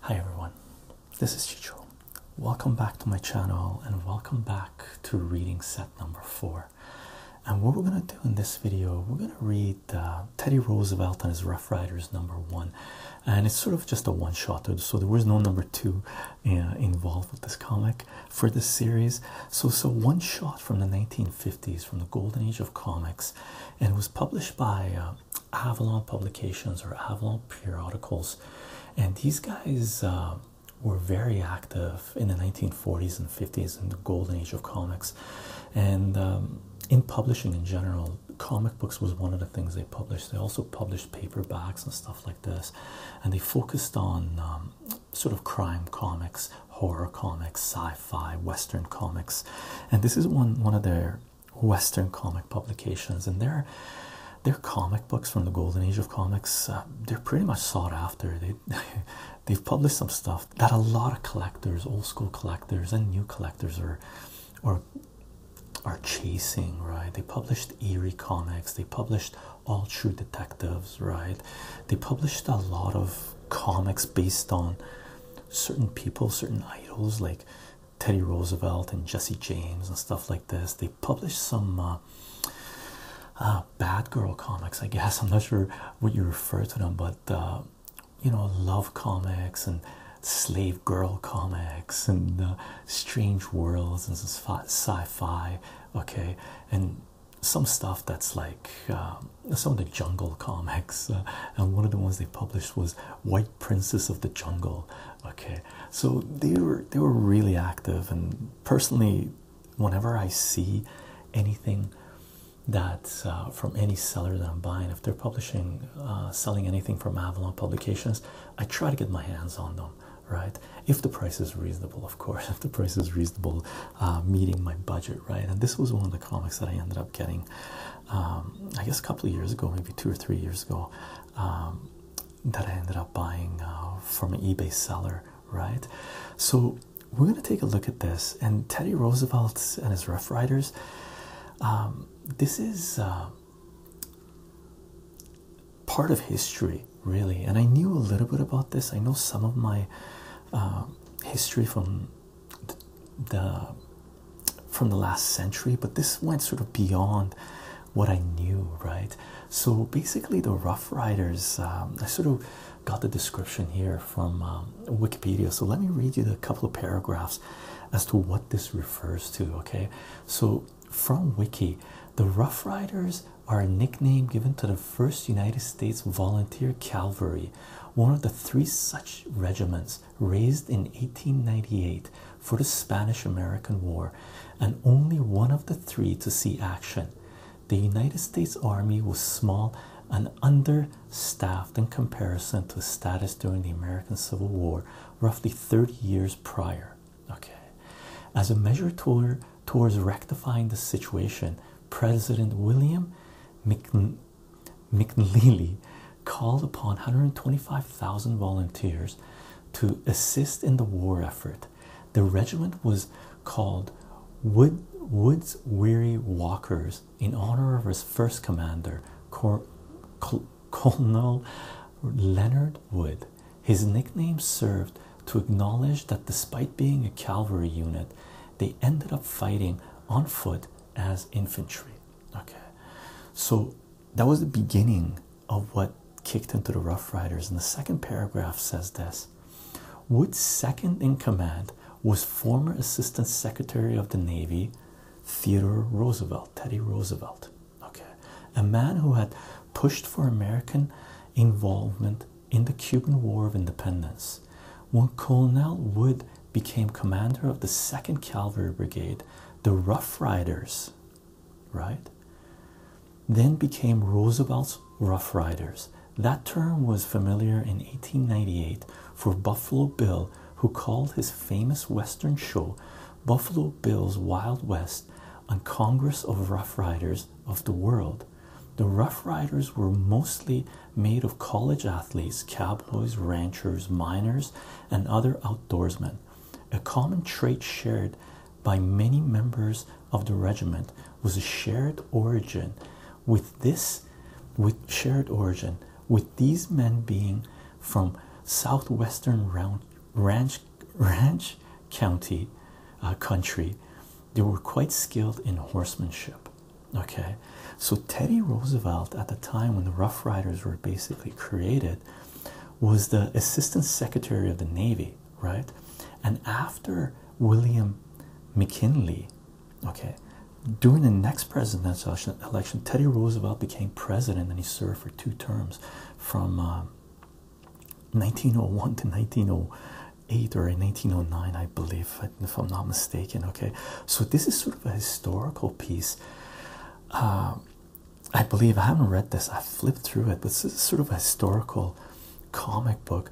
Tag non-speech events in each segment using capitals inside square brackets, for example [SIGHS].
Hi everyone, this is Chicho. Welcome back to my channel and welcome back to reading set number four. And what we're going to do in this video, we're going to read uh, Teddy Roosevelt and his Rough Riders number one. And it's sort of just a one shot, so there was no number two uh, involved with this comic for this series. So, so one shot from the 1950s, from the golden age of comics, and it was published by uh, Avalon publications or Avalon periodicals, and these guys uh, were very active in the 1940s and 50s in the golden age of comics, and um, in publishing in general. Comic books was one of the things they published. They also published paperbacks and stuff like this, and they focused on um, sort of crime comics, horror comics, sci-fi, western comics, and this is one one of their Western comic publications, and they're their comic books from the golden age of comics uh, they're pretty much sought after they [LAUGHS] they've published some stuff that a lot of collectors old school collectors and new collectors are or are chasing right they published eerie comics they published all true detectives right they published a lot of comics based on certain people certain idols like Teddy Roosevelt and Jesse James and stuff like this. They published some uh, uh, bad girl comics, I guess. [LAUGHS] I'm not sure what you refer to them, but uh, you know, love comics and slave girl comics and strange worlds and sci-fi. Okay, and some stuff that's like some of the jungle comics. and one of the ones they published was White like Princess of the Jungle. Okay, so they were they were really active, and personally, whenever I see anything that's uh, from any seller that I'm buying, if they're publishing, uh, selling anything from Avalon Publications, I try to get my hands on them. Right, if the price is reasonable, of course, [LAUGHS] if the price is reasonable, uh, meeting my budget, right? And this was one of the comics that I ended up getting um, I guess a couple of years ago, maybe two or three years ago, um, that I ended up buying uh, from an eBay seller, right? So we're going to take a look at this. And Teddy Roosevelt and his Rough Riders, um, this is uh, part of history, really. And I knew a little bit about this. I know some of my uh, history from the from the last century, but this went sort of beyond what I knew, right? So basically, the Rough Riders, um, I sort of got the description here from um, Wikipedia. So let me read you a couple of paragraphs as to what this refers to, okay? So from Wiki, the Rough Riders are a nickname given to the first United States Volunteer Cavalry, one of the three such regiments raised in 1898 for the Spanish American War, and only one of the three to see action. The United States Army was small and understaffed in comparison to status during the American Civil War, roughly 30 years prior. Okay. As a measure towards rectifying the situation, President William McKinley McNeely called upon 125,000 volunteers to assist in the war effort. The regiment was called Woods Weary Walkers in honor of its first commander, Col Colonel Leonard Wood. His nickname served to acknowledge that despite being a cavalry unit, they ended up fighting on foot as infantry. Okay, so that was the beginning of what kicked into the Rough Riders. And the second paragraph says this Wood's second in command was former Assistant Secretary of the Navy Theodore Roosevelt, Teddy Roosevelt. Okay, a man who had pushed for American involvement in the Cuban War of Independence. When Colonel Wood became commander of the second cavalry brigade the rough riders right then became roosevelt's rough riders that term was familiar in 1898 for buffalo bill who called his famous western show buffalo bill's wild west on congress of rough riders of the world the rough riders were mostly made of college athletes cowboys ranchers miners and other outdoorsmen a common trait shared by many members of the regiment was a shared origin with this with shared origin with these men being from southwestern round, ranch ranch county uh, country they were quite skilled in horsemanship okay so teddy roosevelt at the time when the rough riders were basically created was the assistant secretary of the navy right and after william mckinley okay during the next presidential election teddy roosevelt became president and he served for two terms from 1901 uh, to 1908 or 1909 i believe if i'm not mistaken okay so this is sort of a historical piece uh, I believe I haven't read this. I flipped through it, but this is sort of a historical comic book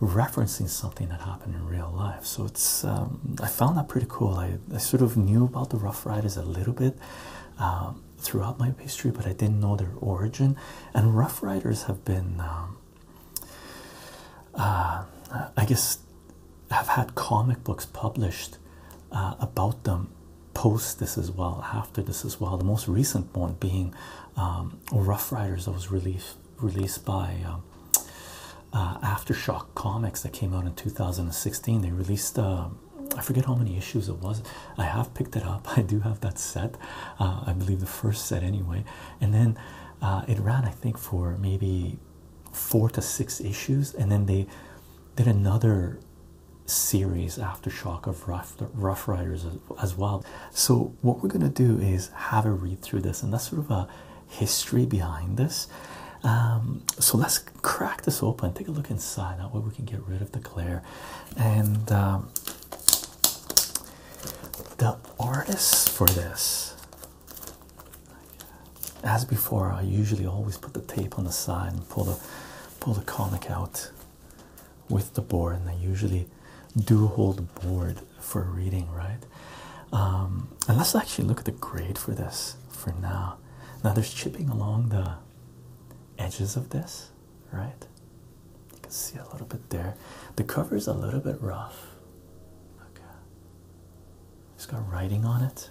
referencing something that happened in real life. So it's um, I found that pretty cool. I, I sort of knew about the Rough Riders a little bit um, throughout my history, but I didn't know their origin. And Rough Riders have been, um, uh, I guess, have had comic books published uh, about them post this as well, after this as well. The most recent one being um, Rough Riders that was released released by um, uh, Aftershock Comics that came out in 2016. They released um, I forget how many issues it was. I have picked it up. [LAUGHS] I do have that set. Uh, I believe the first set anyway, and then it ran I think for maybe four to six issues, and then they did another series aftershock of rough, riders as well so what we're going to do is have a read through this and that's sort of a history behind this um, so let's crack this open take a look inside that way we can get rid of the glare and um, the artists for this as before, I usually always put the tape on the side and pull the pull the comic out with the board, and I usually do hold the board for reading, right? Um, and let's actually look at the grade for this for now. Now there's chipping along the edges of this, right? You can see a little bit there. The cover is a little bit rough. Okay. It's got writing on it.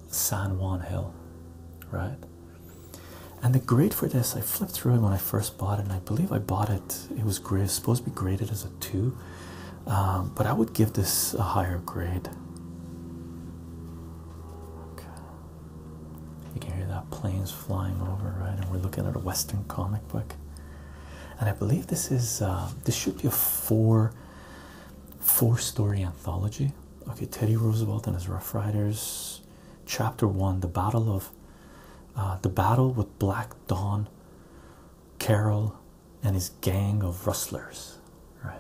San Juan Hill, right? And the grade for this, I flipped through it when I first bought it, and I believe I bought it. It was supposed to be graded as a two, um, but I would give this a higher grade. You can hear that planes flying over, right? And we're looking at a Western comic book, and I believe this is uh, this should be a four, four-story anthology. Okay, Teddy Roosevelt and his Rough Riders, Chapter One: The Battle of uh, the Battle with Black Dawn, Carroll and his gang of rustlers. Right.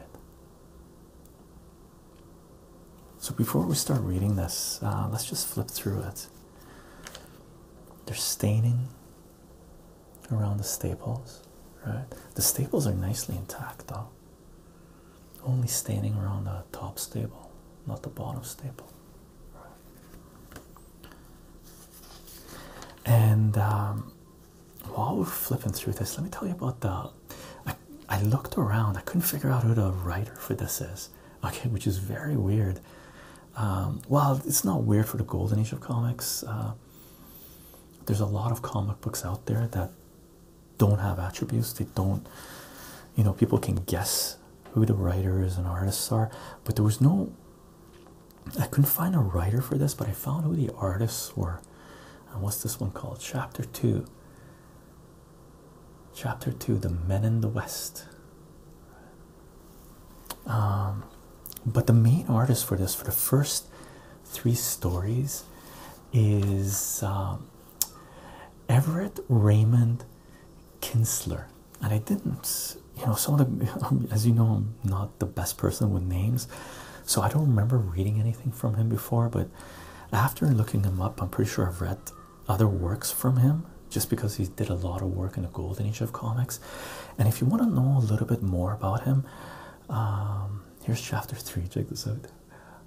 So before we start reading this, uh, let's just flip through it. There's staining around the staples, right? The staples are nicely intact, though only standing around the top stable, not the bottom stable. And um, while we're flipping through this, let me tell you about the. I, I looked around, I couldn't figure out who the writer for this is, [LAUGHS] okay, which is very weird. Um, well, it's not weird for the golden age of comics. Uh, there's a lot of comic books out there that don't have attributes they don't you know people can guess who the writers and artists are but there was no i couldn't find a writer for this but i found who the artists were and what's this one called chapter 2 chapter 2 the men in the west um, but the main artist for this for the first three stories is um, Everett Raymond Kinsler, and I didn't, you know, some of [LAUGHS] as you know, I'm not the best person with names, so I don't remember reading anything from him before. But after looking him up, I'm pretty sure I've read other works from him just because he did a lot of work in the golden age of comics. And if you want to know a little bit more about him, um, here's chapter three. Check this out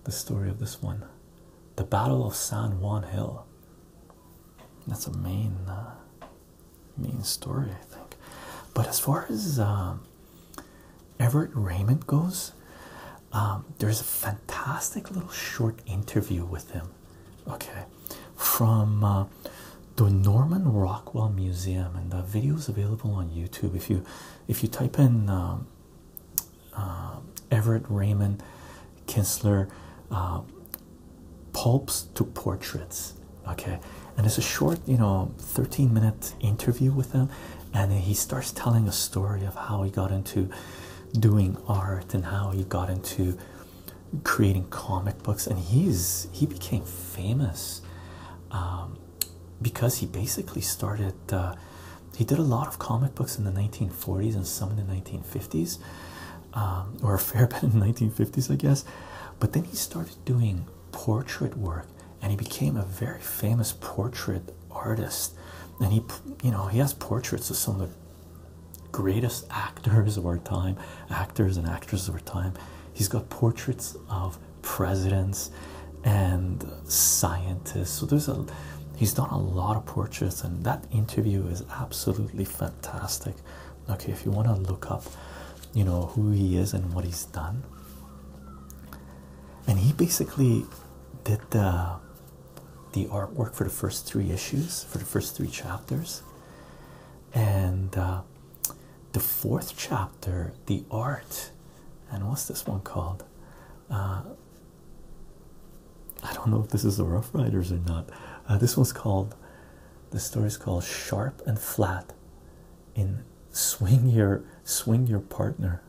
the story of this one. The Battle of San Juan Hill. That's a main, uh, main story, I think. But as far as um, Everett Raymond goes, um, there's a fantastic little short interview with him, okay, from uh, the Norman Rockwell Museum, and the video is available on YouTube. If you if you type in um, um, Everett Raymond Kinsler uh, pulps to portraits. Okay, and it's a short, you know, 13 minute interview with him, and he starts telling a story of how he got into doing art and how he got into creating comic books, and he's he became famous um, because he basically started. Uh, he did a lot of comic books in the 1940s and some in the 1950s, um, or a fair [LAUGHS] bit in the 1950s, I guess. But then he started doing portrait work, and he became a very famous portrait artist. And he, you know, he has portraits of some of the greatest actors of our time, actors and actresses of our time. He's got portraits of presidents and scientists. So there's a he's done a lot of portraits, and that interview is absolutely fantastic. Okay, if you want to look up, you know, who he is and what he's done. And he basically did the the artwork for the first three issues, for the first three chapters. And uh, the fourth chapter, the art, and what's this one called? Uh, I don't know if this is the Rough Riders or not. Uh, this one's called, the story's called Sharp and Flat in Swing Your, Swing Your Partner.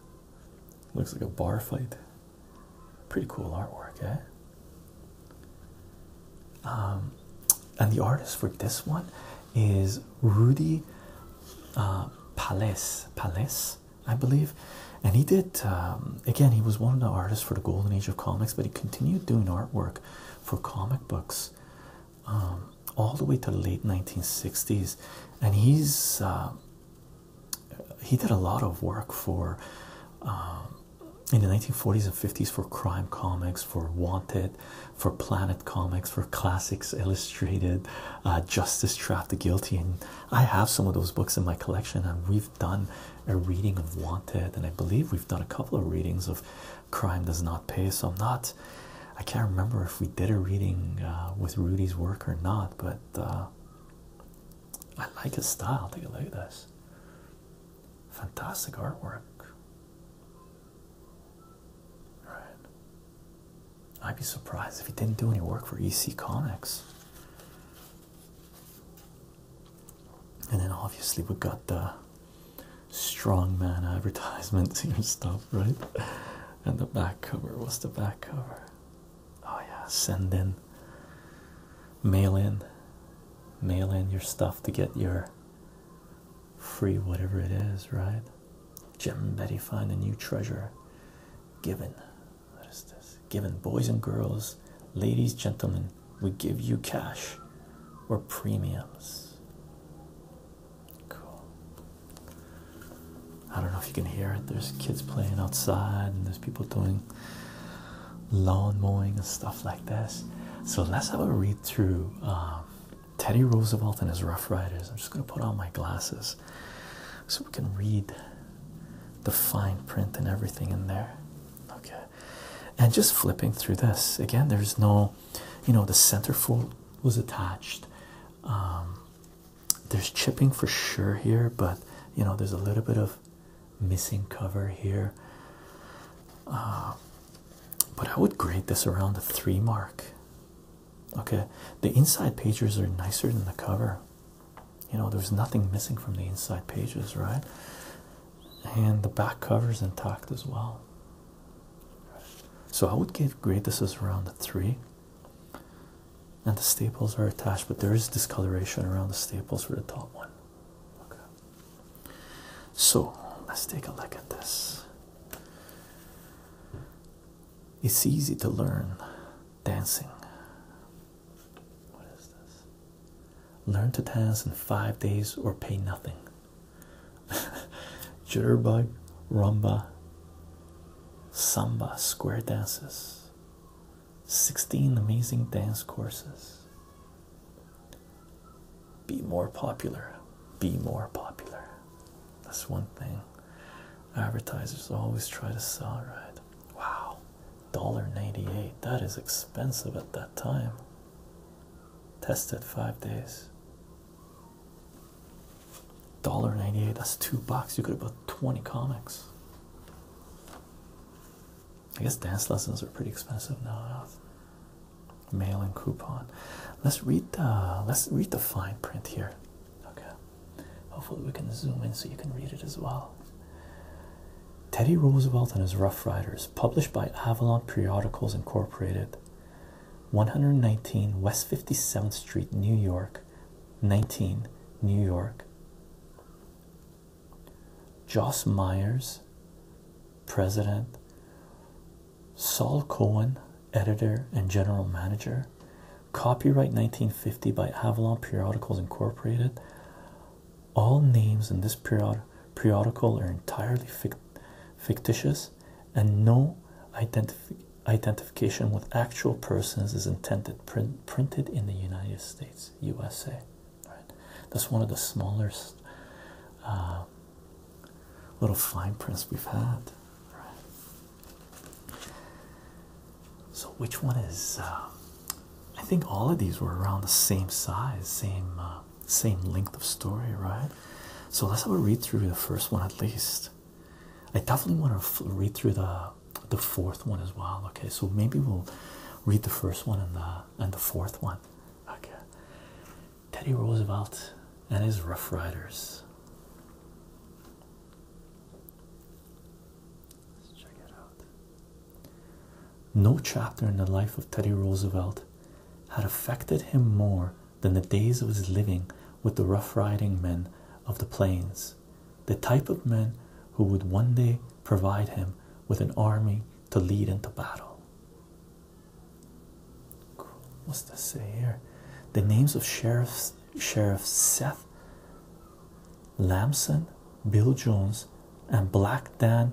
Looks like a bar fight. Pretty cool artwork, eh? Um, and the artist for this one is Rudy Palles uh, Pales. I believe, and he did. Um, again, he was one of the artists for the Golden Age of comics, but he continued doing artwork for comic books um, all the way to the late 1960s, and he's uh, he did a lot of work for. Um, in the 1940s and 50s for crime comics for wanted for planet comics for classics illustrated uh, justice trapped the guilty and I have some of those books in my collection, and we've done a reading of Wanted, and I believe we've done a couple of readings of Crime Does Not Pay. So I'm not, I can't remember if we did a reading uh, with Rudy's work or not, but uh, I like his style. Take a look at this. Fantastic artwork. Right. I'd be surprised if he didn't do any work for EC Comics. And then obviously we got the strongman [LAUGHS] advertisements here and stuff, right? And the back cover. What's the back cover? Oh yeah, send in, mail in, mail in your stuff to get your free whatever it is, right? Jim and Betty find a new treasure. Given, what is this? Given, boys and girls, ladies, gentlemen, we give you cash or premiums. Cool. I don't know if you can hear it. There's kids playing outside, and there's people doing lawn mowing and stuff like this. So let's have a read through um, Teddy Roosevelt and his Rough Riders. I'm just going to put on my glasses. So we can read the fine print and everything in there. Okay. And just flipping through this again, there's no, you know, the center fold was attached. Um, there's chipping for sure here, but you know, there's a little bit of missing cover here. Uh, but I would grade this around a three mark. Okay, the inside pages are nicer than the cover. You know, there's nothing missing from the inside pages, right? And the back cover is intact as well. So I would give grade this is around a three. And the staples are attached, but there is discoloration around the staples for the top one. Okay. So let's take a look at this. It's easy to learn dancing. What is this? Learn to dance in five days or pay nothing. [LAUGHS] Jitterbug, rumba, samba, square dances. 16 amazing dance courses. Be more popular. Be more popular. That's one thing. Advertisers always try to sell, right? Wow, $1.98. That is expensive at that time. Tested five days. $1.98, that's two bucks. You could have bought 20 comics. I guess dance lessons are pretty expensive now. Mail and coupon. Let's read the uh, let's read the fine print here. Okay. Hopefully, we can zoom in so you can read it as well. Teddy Roosevelt and his Rough Riders, published by Avalon Periodicals Incorporated, 119 West 57th Street, New York, 19, New York. Joss Myers, President. Saul Cohen, Editor and General Manager. Copyright 1950 by Avalon Periodicals Incorporated. All names in this periodical are entirely fictitious, and no identification with actual persons is intended. printed in the United States, USA. That's one of the smallest uh, little fine prints we've had. So, which one is? Uh, I think all of these were around the same size, same uh, same length of story, right? So let's have a read through the first one at least. I definitely want to read through the the fourth one as well. Okay, so maybe we'll read the first one and the and the fourth one. Okay. Teddy Roosevelt and his Rough Riders. No chapter in the life of Teddy Roosevelt had affected him more than the days of his living with the rough riding men of the plains, the type of men who would one day provide him with an army to lead into battle. What's this say here? The names of sheriffs Sheriff Seth Lamson, Bill Jones, and Black Dan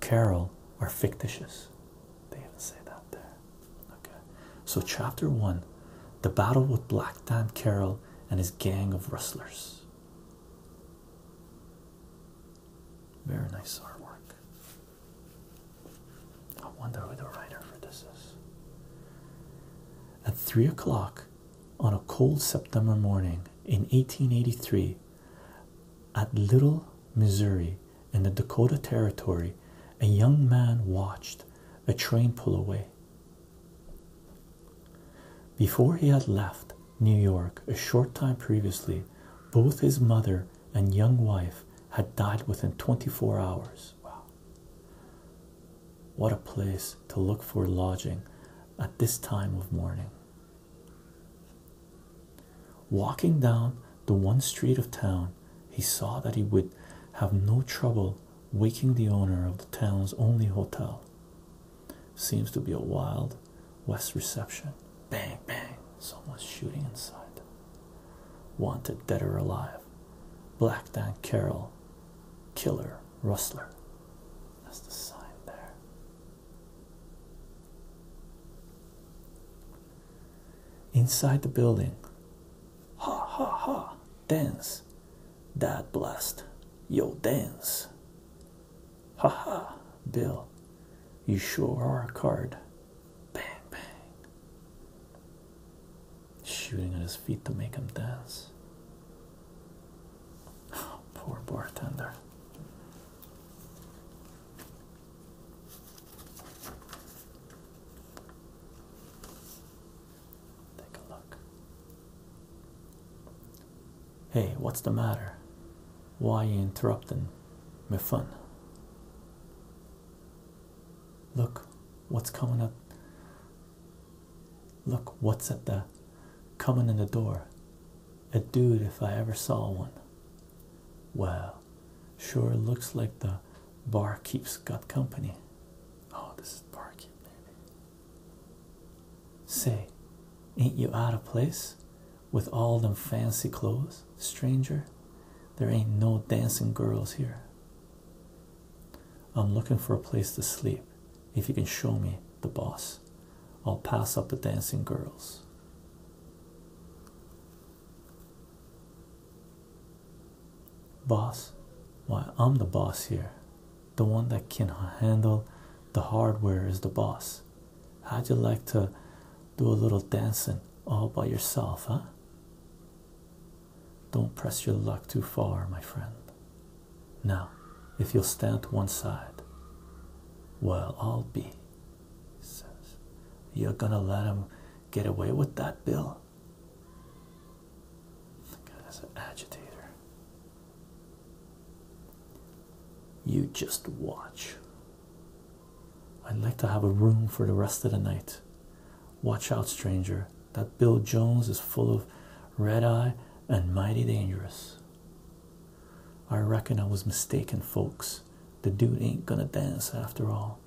Carroll are fictitious. They even say that there. Okay. So, chapter one the battle with Black Dan Carroll and his gang of rustlers. Very nice artwork. I wonder who the writer for this is. At three o'clock on a cold September morning in 1883, at Little, Missouri, in the Dakota Territory, a young man watched a train pull away. Before he had left New York a short time previously, both his mother and young wife had died within 24 hours. What a place to look for lodging at this time of morning. Walking down the one street of town, he saw that he would have no trouble waking the owner of the town's only hotel. Seems to be a wild west reception. Bang, bang, someone's shooting inside. Wanted dead or alive. Black Dan Carroll, Killer Rustler. That's the sign there. Inside the building, ha ha ha, dance, dad blast, yo dance. Ha ha, Bill, you sure are a card. Bang bang shooting at his feet to make him dance. [GASPS] poor bartender. Take a look. Hey, what's the matter? Why you interrupting my fun? Look, what's coming up Look what's at the coming in the door. A dude if I ever saw one. Wow. Sure looks like the barkeep's got company. Oh, this is barkeep maybe. Say, ain't you out of place? With all them fancy clothes, stranger? There ain't no dancing girls here. I'm looking for a place to sleep. If you can show me the boss, I'll pass up the dancing girls. Boss, why I'm the boss here. The one that can handle the hardware is the boss. How'd you like to do a little dancing all by yourself, huh? Don't press your luck too far, my friend. Now, if you'll stand to one side, well, I'll be, he says. You're gonna let him get away with that, Bill? God, that's an agitator. You just watch. I'd like to have a room for the rest of the night. Watch out, stranger that Bill Jones is full of red eye and mighty dangerous. I reckon I was mistaken, folks. The dude ain't gonna dance after all.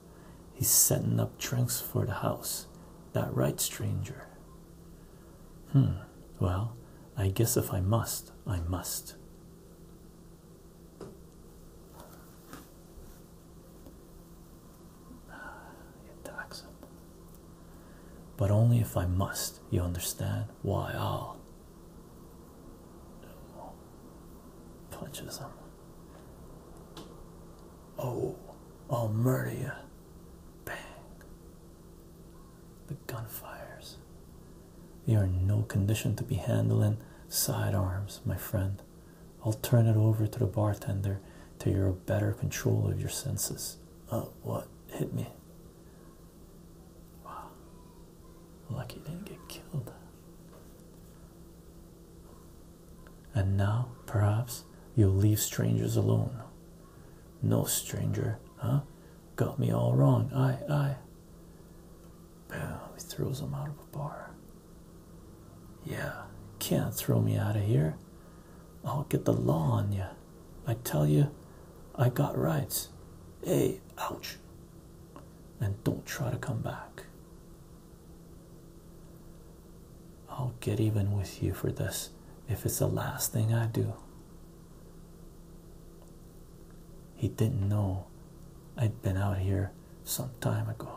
He's setting up drinks for the house. That right, stranger? Hmm, well, I guess if I must, I must. It tax it. But only if I must, you understand? Why I'll punches him. Oh, I'll murder you. Bang. The gun fires. You're in no condition to be handling sidearms, my friend. I'll turn it over to the bartender till you're a better control of your senses. Oh, what? Hit me. Wow. Lucky didn't get killed. And now, perhaps, you'll leave strangers alone. No stranger, huh? Got me all wrong. I, I. Boom. He throws him out of a bar. Yeah, can't throw me out of here. I'll get the law on you. I tell you, I got rights. Hey, ouch. And don't try to come back. I'll get even with you for this if it's the last thing I do. He didn't know I'd been out here some time ago.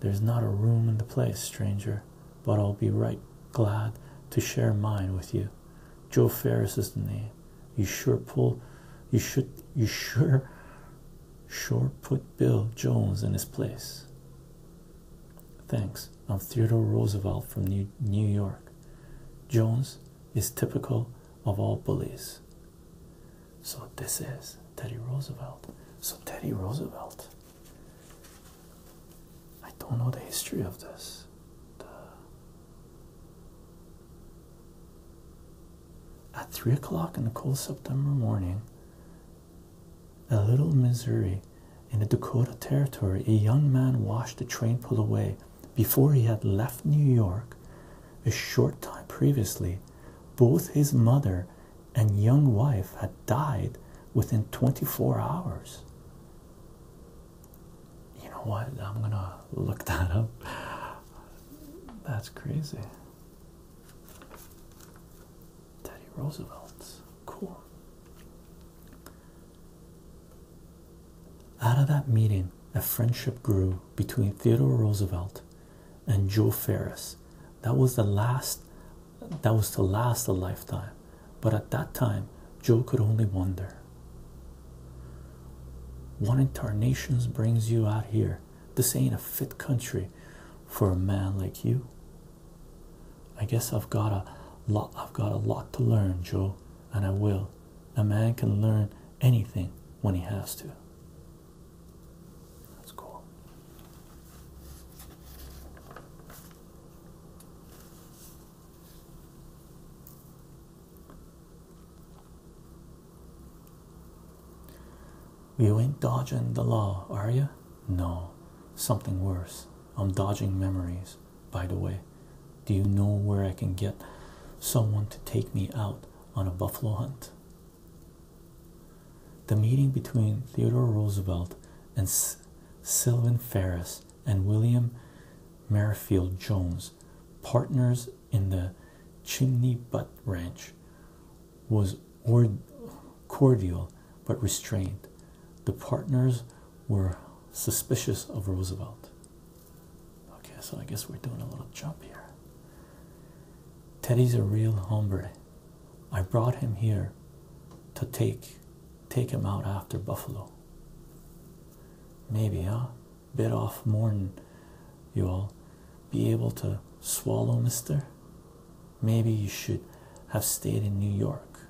There's not a room in the place, stranger, but I'll be right glad to share mine with you. Joe Ferris is the name. You sure pull you should you sure sure put Bill Jones in his place. Thanks. I'm Theodore Roosevelt from New New York. Jones, is typical of all bullies. So, this is Teddy Roosevelt. So, Teddy Roosevelt. I don't know the history of this. At 3 o'clock in the cold September morning, a little Missouri in the Dakota Territory, a young man watched the train pull away before he had left New York a short time previously, both his mother and young wife had died within 24 hours. You know what? I'm gonna look [LAUGHS] that up. That's crazy. Teddy Roosevelt. Cool. Out of that meeting, a friendship grew between Theodore Roosevelt and Joe Ferris. That was the last that was to last a lifetime. But at that time, Joe could only wonder. One incarnations brings you out here. This ain't a fit country for a man like you. I guess I've got a lot I've got a lot to learn, Joe, and I will. A man can learn anything when he has to. That's cool. You ain't dodging the law, are you? No, something worse. I'm dodging memories, by the way. Do you know where I can get someone to take me out on a buffalo hunt? The meeting between Theodore Roosevelt and Sylvan Ferris and William Merrifield Jones, partners in the Chimney Butt Ranch, was cordial but restrained. The partners were suspicious of Roosevelt. Okay, so I guess we're doing a little jump here. Teddy's a real hombre. I brought him here to take take him out after Buffalo. Maybe, huh? Bit off more'n you'll be able to swallow, mister. Maybe you should have stayed in New York.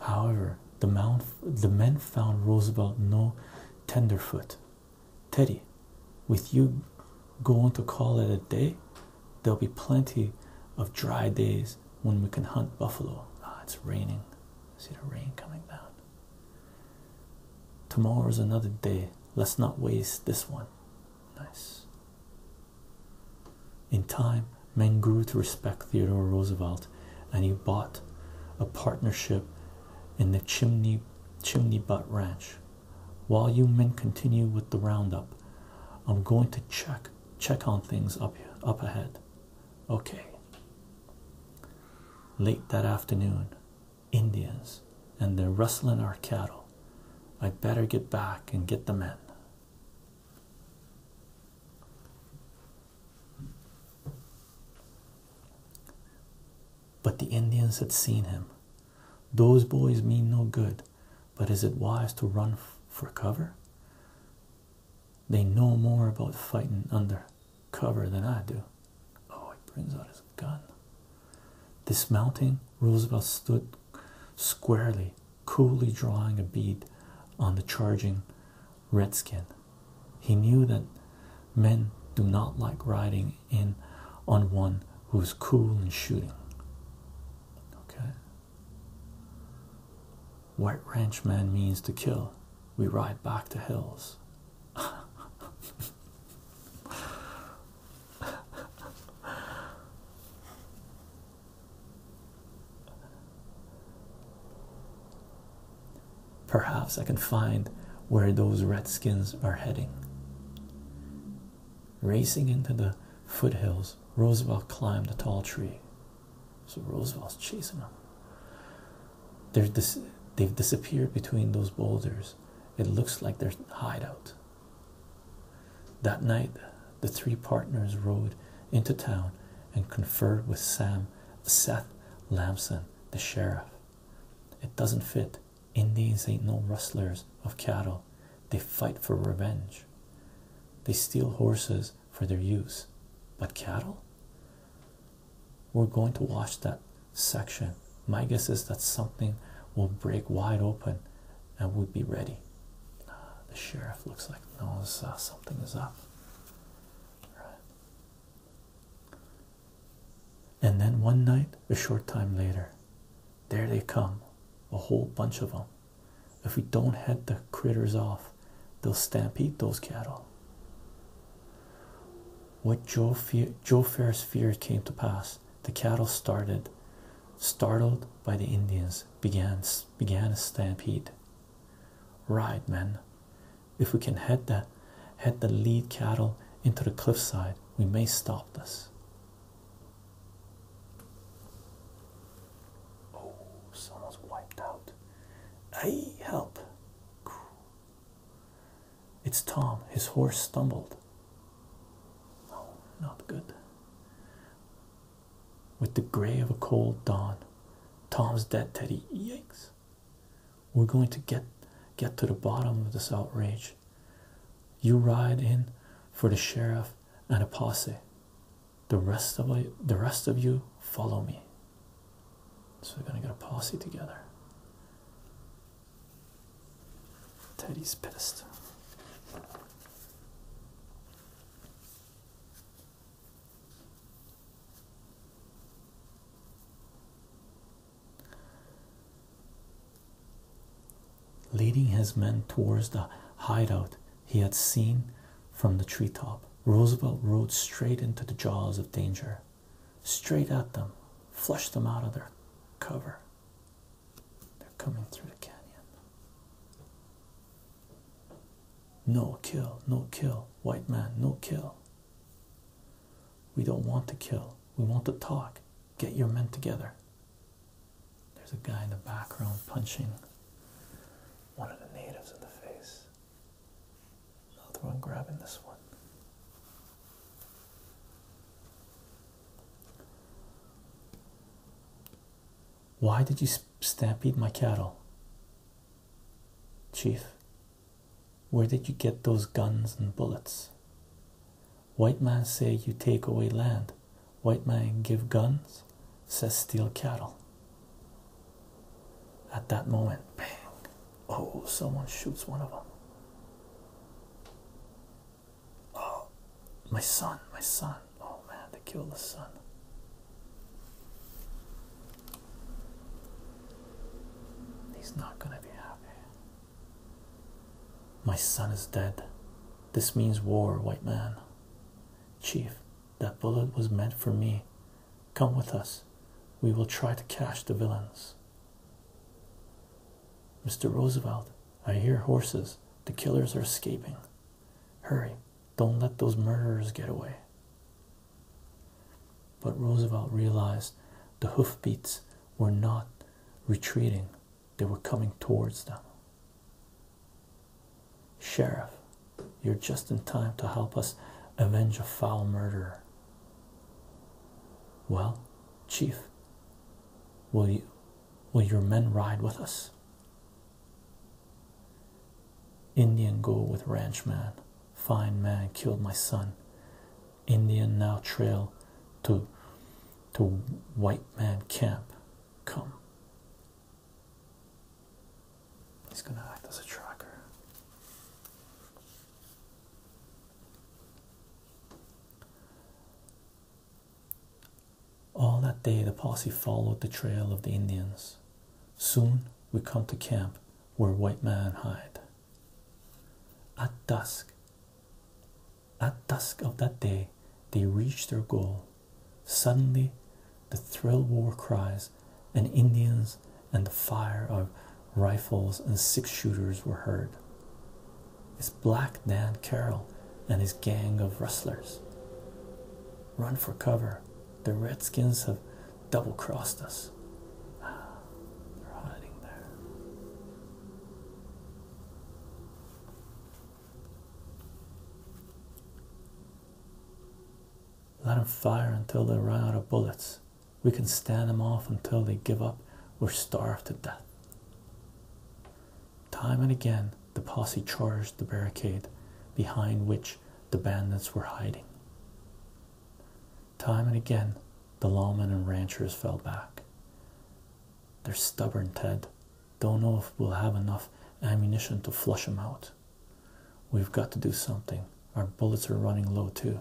However, the, men found Roosevelt no tenderfoot. Teddy, with you going to call it a day, there'll be plenty of dry days when we can hunt buffalo. Ah, it's raining. See the rain coming down. Tomorrow's another day. Let's not waste this one. Nice. In time, men grew to respect Theodore Roosevelt, and he bought a partnership in the Chimney Chimney Butt Ranch. While you men continue with the roundup, I'm going to check check on things up here, up ahead. Okay. Late that afternoon, Indians, and they're rustling our cattle. I better get back and get the men. But the Indians had seen him. Those boys mean no good, but is it wise to run for cover? They know more about fighting under cover than I do. Oh, he brings out his gun. Dismounting, Roosevelt stood squarely coolly drawing a bead on the charging redskin. He knew that men do not like riding in on one who is cool in shooting. Okay. White ranch man means to kill. We ride back to hills. [LAUGHS] Perhaps I can find where those redskins are heading. Racing into the foothills, Roosevelt climbed a tall tree. So Roosevelt's chasing them. they have disappeared between those boulders. It looks like their hideout. That night, the three partners rode into town and conferred with Sam Seth Lamson, the sheriff. It doesn't fit. Indians ain't no rustlers of cattle. They fight for revenge. They steal horses for their use. But cattle? We're going to watch that section. My guess is that something will break wide open and we'll be ready. The sheriff looks like knows uh, something is up. Right. And then one night, a short time later, there they come, a whole bunch of them. If we don't head the critters off, they'll stampede those cattle. What Joe, Joe Ferris feared came to pass. The cattle started, startled by the Indians, began began a stampede. Right, man. If we can head the head the lead cattle into the cliffside, we may stop this. Oh, someone's wiped out. Hey, help! It's Tom. His horse stumbled. Oh, not good with the gray of a cold dawn. Tom's dead, Teddy. Yikes. We're going to get get to the bottom of this outrage. You ride in for the sheriff and a posse. The rest of the rest of you follow me. So we're gonna get a posse together. Teddy's pissed leading his men towards the hideout he had seen from the treetop. Roosevelt rode straight into the jaws of danger, straight at them, flushed them out of their cover. They're coming through the canyon. No kill, no kill, white man, no kill. We don't want to kill, we want to talk. Get your men together. There's a guy in the background punching one of the natives in the face. Another one grabbing this one. Why did you stampede my cattle. Chief, where did you get those guns and bullets? White man say you take away land, white man give guns, says steal cattle. At that moment, bang, oh, someone shoots one of them. Oh, my son, my son. Oh man, they killed the sun. He's not gonna be happy. My son is dead. This means war, white man. Chief, that bullet was meant for me. Come with us. We will try to catch the villains. Mr. Roosevelt, I hear horses. The killers are escaping. Hurry, don't let those murderers get away. But Roosevelt realized the hoofbeats were not retreating, they were coming towards them. Sheriff, you're just in time to help us avenge a foul murderer. Well, Chief, will you will your men ride with us? Indian go with ranchman. Fine man killed my son. Indian now trail to to white man camp. Come. He's gonna act as a tracker. All that day the posse followed the trail of the Indians. Soon we come to camp where white men hide. At dusk, at dusk of that day, they reached their goal. Suddenly, the thrill war cries and Indians and the fire of rifles and six shooters were heard. It's Black Dan Carroll and his gang of rustlers. Run for cover, the Redskins have double crossed us. [SIGHS] they're hiding there. Let them fire until they run out of bullets. We can stand them off until they give up or starve to death. Time and again, the posse charged the barricade, behind which the bandits were hiding. Time and again, the lawmen and ranchers fell back. They're stubborn, Ted. Don't know if we'll have enough ammunition to flush them out. We've got to do something. Our bullets are running low, too.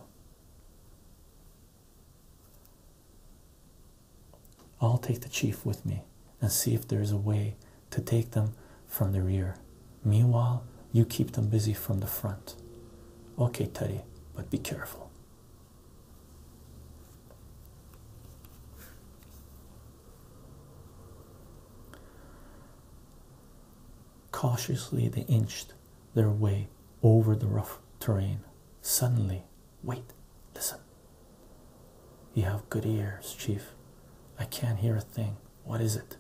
I'll take the chief with me and see if there's a way to take them from the rear. Meanwhile, you keep them busy from the front. Okay, Teddy, but be careful. Cautiously, they inched their way over the rough terrain. Suddenly, wait, listen. You have good ears, Chief. I can't hear a thing. What is it?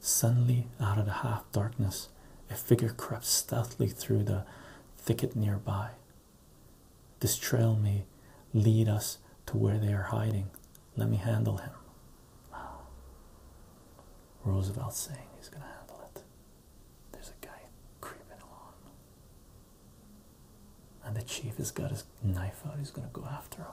Suddenly, out of the half darkness, a figure crept stealthily through the thicket nearby. This trail may lead us to where they are hiding. Let me handle him. Wow. [SIGHS] Roosevelt saying he's going to handle it. There's a guy creeping along. And the chief has got his knife out, he's going to go after him.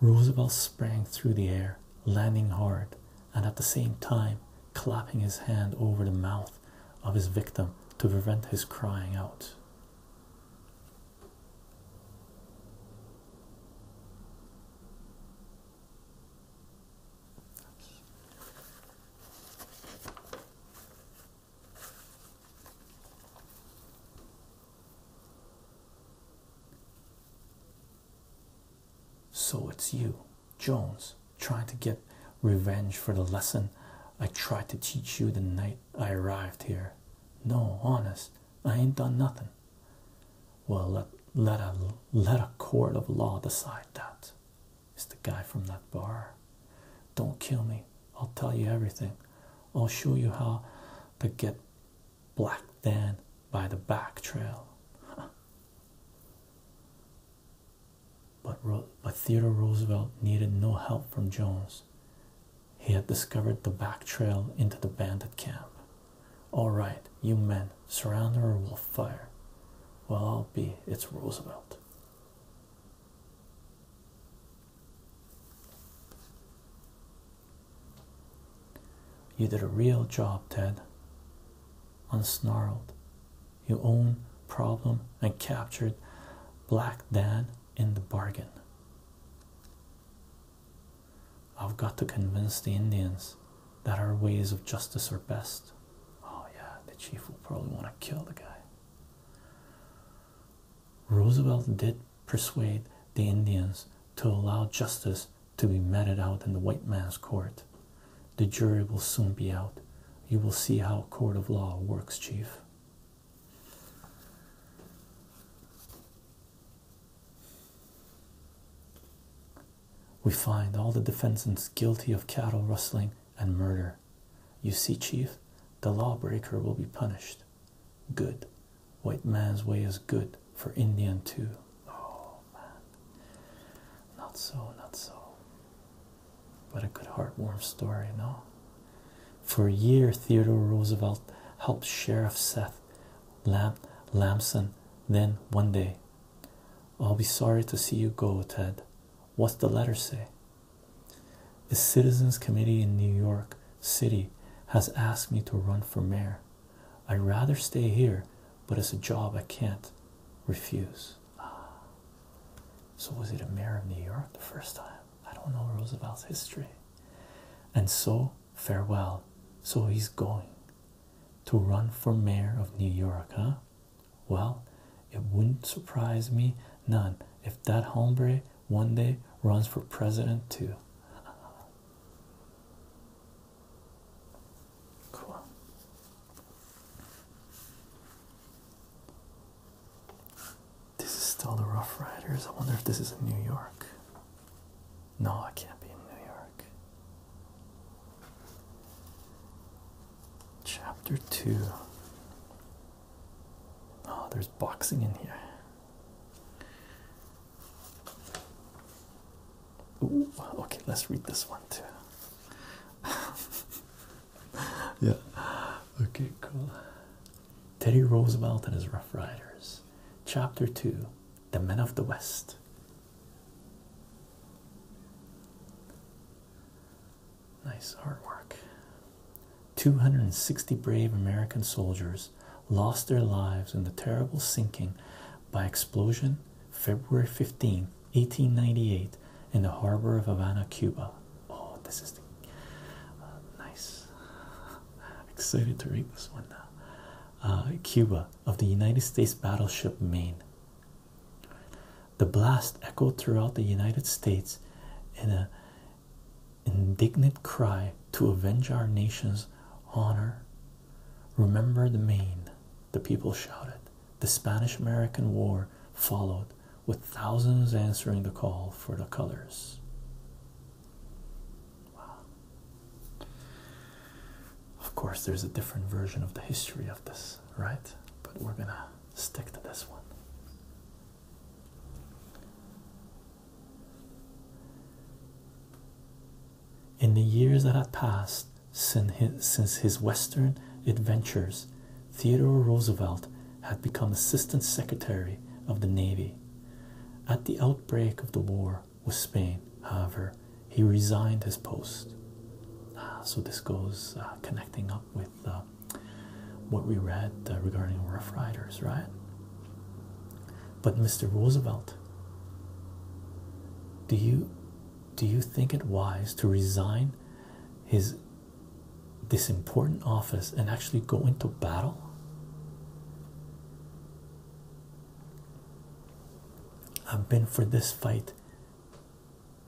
Roosevelt sprang through the air, landing hard, and at the same time clapping his hand over the mouth of his victim to prevent his crying out. So it's you, Jones, trying to get revenge for the lesson I tried to teach you the night I arrived here. No, honest, I ain't done nothing. Well, let let a let a court of law decide that. It's the guy from that bar. Don't kill me. I'll tell you everything. I'll show you how to get Black Dan by the back trail. But, but Theodore Roosevelt needed no help from Jones. He had discovered the back trail into the bandit camp. All right, you men, surround her or we'll fire. Well, I'll be, it's Roosevelt. You did a real job, Ted. Unsnarled. You own problem and captured Black Dan in the bargain. I've got to convince the Indians that our ways of justice are best. Oh, yeah, the chief will probably want to kill the guy. Roosevelt did persuade the Indians to allow justice to be meted out in the white man's court. The jury will soon be out. You will see how a court of law works, Chief. We find all the defendants guilty of cattle rustling and murder. You see, Chief, the lawbreaker will be punished. Good. White man's way is good for Indian too. Oh man. Not so, not so. But a good heartwarming story, no? For a year, Theodore Roosevelt helped Sheriff Seth Lamson. Then one day, I'll be sorry to see you go, Ted. What's the letter say? The citizens committee in New York City has asked me to run for mayor. I'd rather stay here, but it's a job I can't refuse. Ah. So, was he a mayor of New York the first time? I don't know Roosevelt's history. And so, farewell. So, he's going to run for mayor of New York, huh? Well, it wouldn't surprise me none if that hombre one day runs for president too. Cool. This is still the Rough Riders. I wonder if this is in New York. No, it can't be in New York. Chapter 2 Oh, there's boxing in here. okay, let's read this one too. [LAUGHS] yeah, okay, cool. Teddy Roosevelt and his Rough Riders, Chapter 2 The Men of the West. Nice artwork. 260 brave American soldiers lost their lives in the terrible sinking by explosion February fifteenth, 1898, in the harbor of Havana, Cuba. Oh, this is the, uh, nice. [LAUGHS] Excited to read this one now. Uh, Cuba of the United States battleship Maine. The blast echoed throughout the United States in a indignant cry to avenge our nation's honor. Remember the Maine, the people shouted. The Spanish American War followed, with thousands answering the call for the colors. Of course, there's a different version of the history of this, right? But we're gonna stick to this one. In the years that had passed since his, Western adventures, Theodore Roosevelt had become Assistant Secretary of the Navy. At the outbreak of the war with Spain, however, he resigned his post. Ah, so this goes uh, connecting up with uh, what we read uh, regarding Rough Riders, right? But Mr. Roosevelt, do you do you think it wise to resign his this important office and actually go into battle? I've been for this fight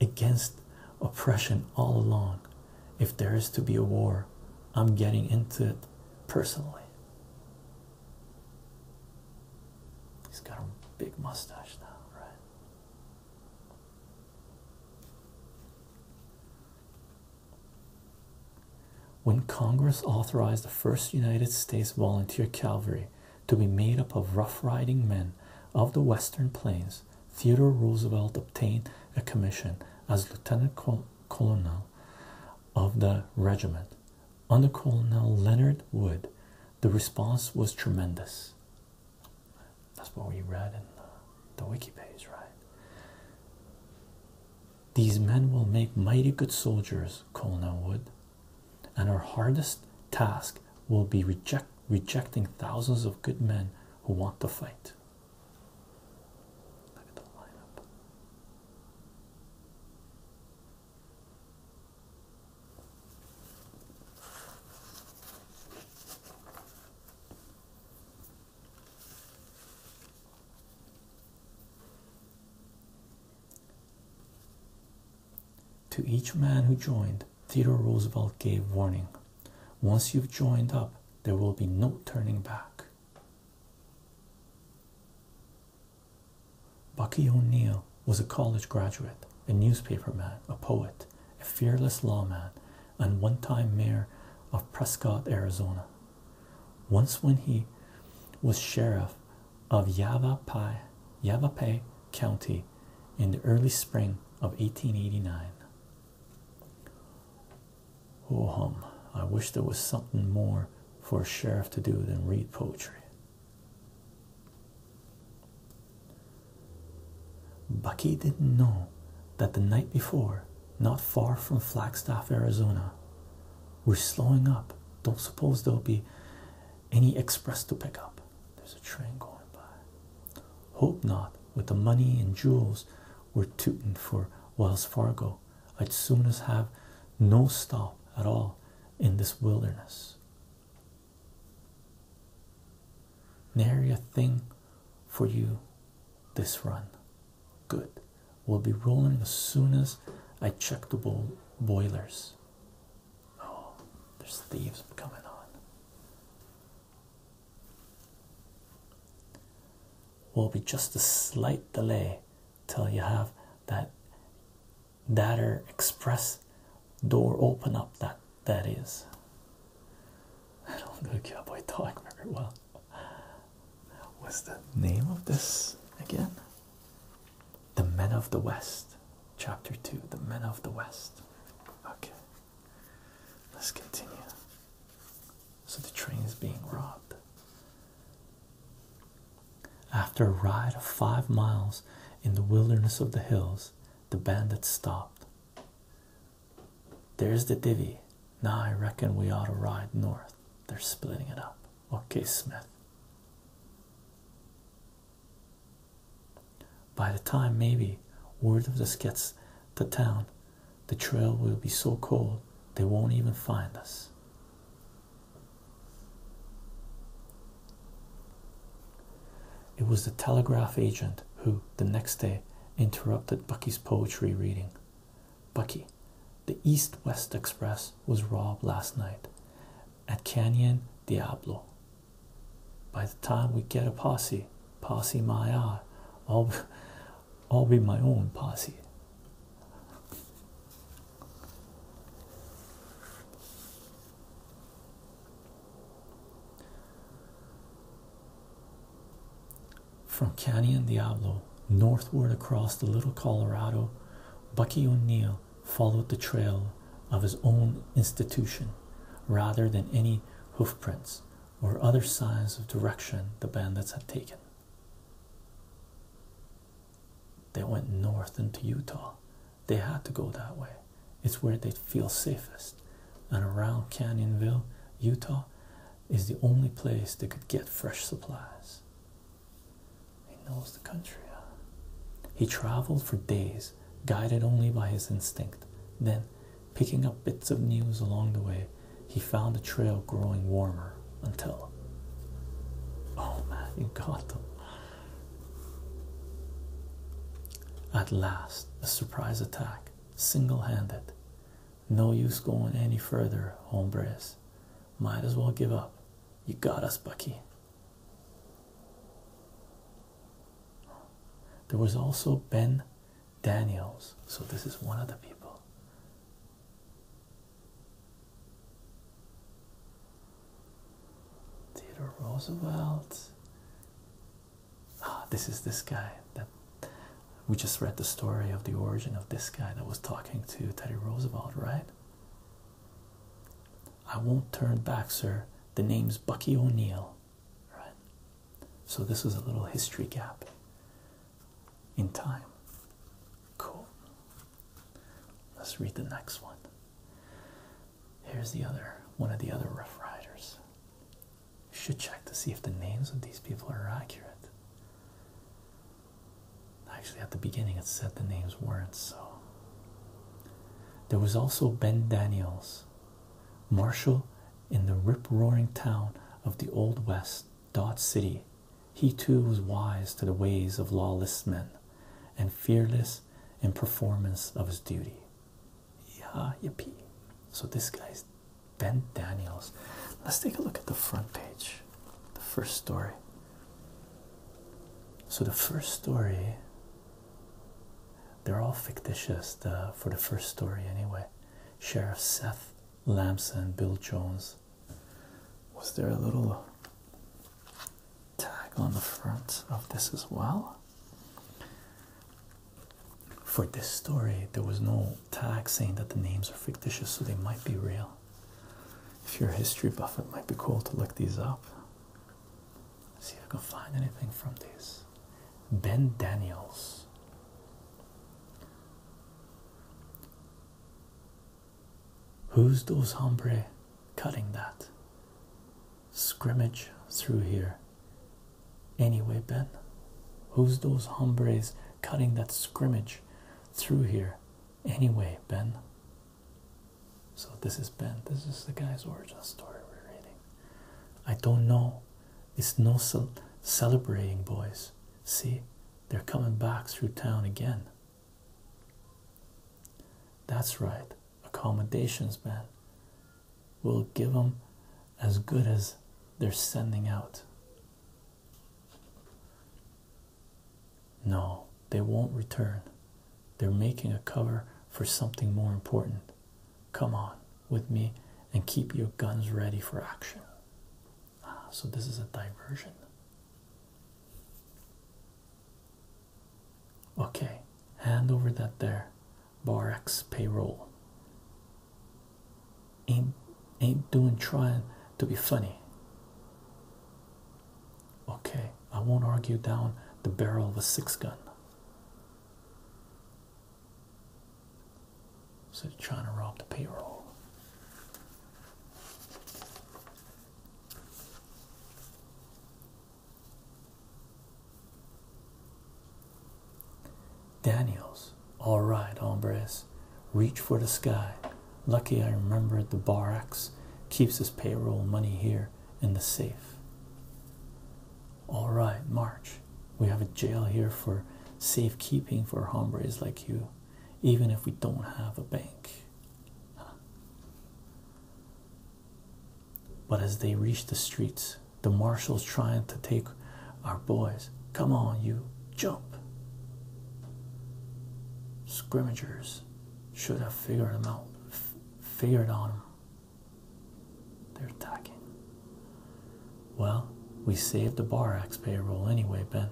against oppression all along. If there is to be a war, I'm getting into it personally. He's got a big mustache now, right? When Congress authorized the first United States Volunteer Cavalry to be made up of rough riding men of the Western Plains, Theodore Roosevelt obtained a commission as lieutenant colonel colonel of the regiment, under Colonel Leonard Wood. The response was tremendous. That's what we read in the, the wiki page, right? These men will make mighty good soldiers, Colonel Wood, and our hardest task will be rejecting thousands of good men who want to fight. To each man who joined, Theodore Roosevelt gave warning. Once you've joined up, there will be no turning back. Bucky O'Neill was a college graduate, a newspaperman, a poet, a fearless lawman, and one time mayor of Prescott, Arizona. Once, when he was sheriff of Yavapai County in the early spring of 1889. Oh hum, I wish there was something more for a sheriff to do than read poetry. Bucky didn't know that the night before, not far from Flagstaff, Arizona, we're slowing up. Don't suppose there'll be any express to pick up. There's a train going by. Hope not with the money and jewels we're tooting for Wells Fargo. I'd soon as have no stop at all in this wilderness. Nary a thing for you this run. Good. We'll be rolling as soon as I check the boilers. Oh, there's thieves coming on will be just a slight delay till you have that Datter Express door open up. That that is. [LAUGHS] I don't know cowboy talk very well. What's the name of this again? The Men of the West, Chapter Two. The Men of the West. Okay. Let's continue. So the train is being robbed. After a ride of five miles in the wilderness of the hills, the bandits stopped. There's the divvy. Now I reckon we ought to ride north. They're splitting it up. Okay, Smith. By the time maybe word of this gets to town, the trail will be so cold they won't even find us. It was the telegraph agent who, the next day, interrupted Bucky's poetry reading. Bucky, the East West Express was robbed last night at Canyon Diablo. By the time we get a posse, posse my eye, all, I'll be my own posse. From Canyon Diablo northward across the Little Colorado, Bucky O'Neill followed the trail of his own institution rather than any hoofprints or other signs of direction the bandits had taken. They went north into Utah. They had to go that way. It's where they feel safest. And around Canyonville, Utah, is the only place they could get fresh supplies. He knows the country. He traveled for days, guided only by his instinct. Then, picking up bits of news along the way, he found the trail growing warmer until. Oh man, you got them. At last, a surprise attack, single handed. No use going any further, hombres. Might as well give up. You got us, Bucky. There was also Ben Daniels, so this is one of the people. Theodore Roosevelt. Ah, this is this guy that we just read the story of the origin of this guy that was talking to Teddy Roosevelt, right? I won't turn back, sir. The name's Bucky O'Neill, right? So this was a little history gap in time. Cool. Let's read the next one. Here's the other one of the other Rough Riders. should check to see if the names of these people are accurate. Actually, at the beginning, it said the names weren't so. There was also Ben Daniels, Marshal in the rip roaring town of the Old West Dot City. He too was wise to the ways of lawless men and fearless in performance of his duty. Yeah, yippee. So this guy's Ben Daniels. Let's take a look at the front page. The first story. So the first story they're all fictitious for the first story anyway. Sheriff Seth Lamson, Bill Jones, was there a little tag on the front of this as well? For this story, there was no tag saying that the names are fictitious, so they might be real. If you're a history buff, it might be cool to look these up. see if I can find anything from these. Ben Daniels. Who's those hombres cutting that? Scrimmage through here. Anyway, Ben, who's those hombres cutting that scrimmage through here? Anyway, Ben. So, this is Ben. This is the guy's origin story we're reading. I don't know. It's no celebrating, boys. See, they're coming back through town again. That's right, accommodations, man. We'll give them as good as they're sending out. No, they won't return. They're making a cover for something more important. Come on with me and keep your guns ready for action. Ah, so this is a diversion. Okay, hand over that there. Bar X payroll. Ain't ain't doing trying to be funny. Okay, I won't argue down the barrel of a six gun. So they're trying to rob the payroll. Daniels, all right, hombres. Reach for the sky. Lucky I remembered the bar keeps his payroll money here in the safe. All right, March. We have a jail here for safekeeping for hombres like you even if we don't have a bank. But as they reach the streets, the marshal's trying to take our boys. Come on, you jump. Scrimmagers should have figured them out, figured on them. They're attacking. Well, we saved the bar payroll anyway, Ben.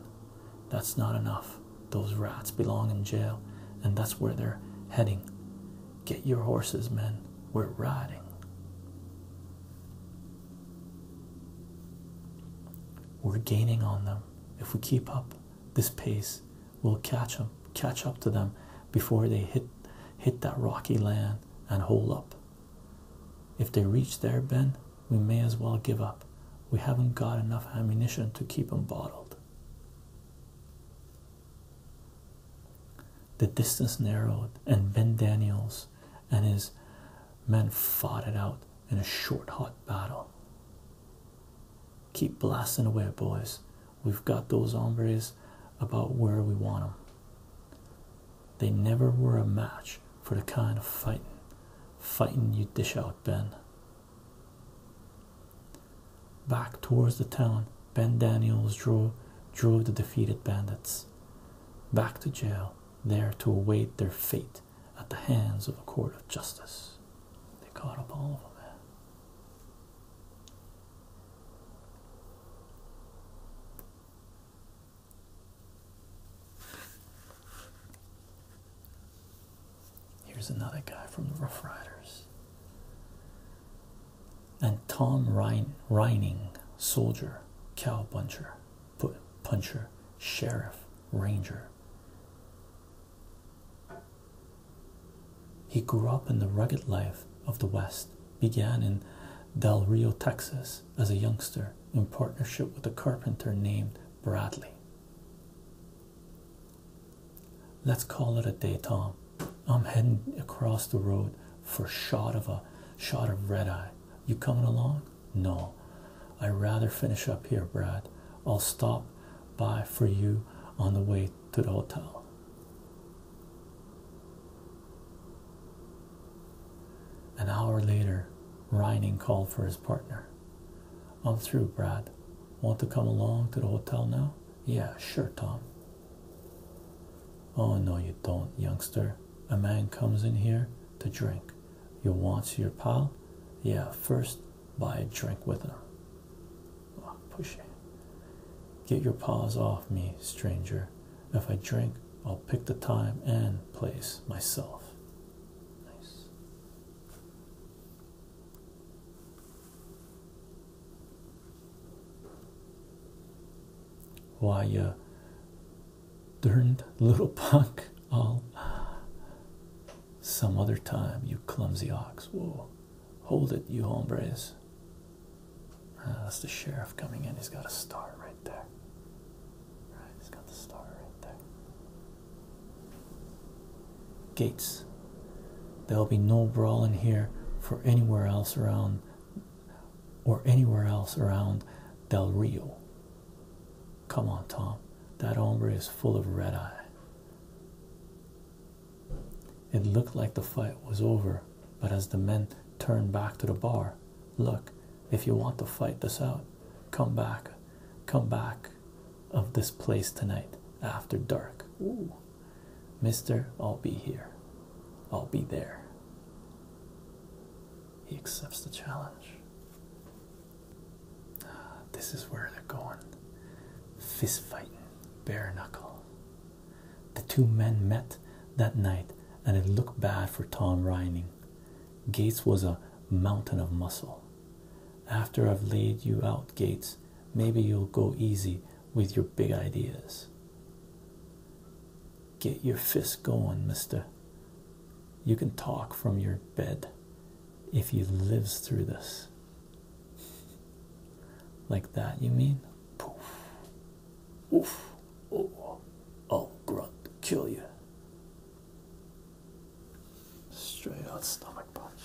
That's not enough. Those rats belong in jail, and that's where they're heading. Get your horses, men. We're riding. We're gaining on them. If we keep up this pace, we'll catch them, catch up to them before they hit hit that rocky land and hole up. If they reach there, Ben, we may as well give up. We haven't got enough ammunition to keep 'em bottled. The distance narrowed, and Ben Daniels and his men fought it out in a short, hot battle. Keep blasting away, boys. We've got those hombres about where we want 'em. They never were a match for the kind of fighting fighting you dish out, Ben. Back towards the town, Ben Daniels drove drove the defeated bandits back to jail, there to await their fate at the hands of a court of justice. They caught up all of them. Here's another guy from the Rough Riders. And Tom Reining, soldier, cowpuncher, put puncher, sheriff, ranger. He grew up in the rugged life of the West, began in Del Rio, Texas, as a youngster in partnership with a carpenter named Bradley. Let's call it a day, Tom. I'm heading across the road for a shot of a shot of red eye. You coming along? No. I would rather finish up here, Brad. I'll stop by for you on the way to the hotel. An hour later, Reining called for his partner. I'm through, Brad. Want to come along to the hotel now? Yeah, sure, Tom. Oh, no, you don't, youngster. A man comes in here to drink. You want your pal? Yeah, first buy a drink with him. Oh, pushy. Get your paws off me, stranger. If I drink, I'll pick the time and place myself. Why, you uh, darned little [LAUGHS] punk. All some other time, you clumsy ox. Whoa, hold it, you hombres. Uh, that's the sheriff coming in. He's got a star right there. Right, it's got the star right there. Gates. There'll be no brawling here for anywhere else around or anywhere else around Del Rio. Come on, Tom. That hombre is full of red eye. It looked like the fight was over, but as the men turned back to the bar, look, if you want to fight this out, come back, come back, of this place tonight after dark. Mister, I'll be here. I'll be there. He accepts the challenge. Ah, this is where they're going. Fist bare knuckle. The two men met that night, and it looked bad for Tom Reining. Gates was a mountain of muscle, after I've laid you out, Gates, maybe you'll go easy with your big ideas. Get your fist going, mister. You can talk from your bed if you lives through this. Like that, you mean? Poof. Oof. Oh, I'll grunt, kill you. Straight out stomach punch.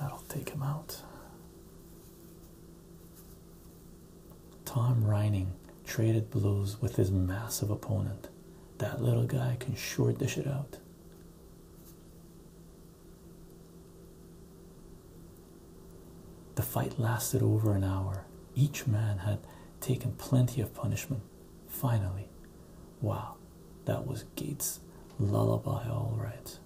That'll take him out. Tom Reining traded blows with his massive opponent. That little guy can sure dish it out. The fight lasted over an hour. Each man had taken plenty of punishment finally. Wow, that was Gates' lullaby, all right.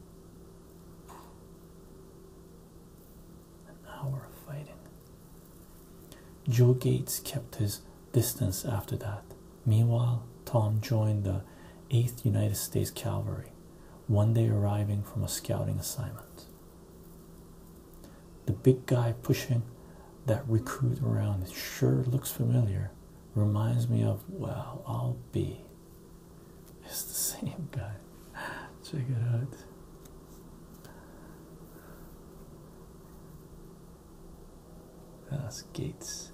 An hour of fighting. Joe Gates kept his distance after that. Meanwhile, Tom joined the 8th United States Cavalry, one day arriving from a scouting assignment. The big guy pushing that recruit around it sure looks familiar. Reminds me of, well, I'll be. It's the same guy. Check it out. That's Gates.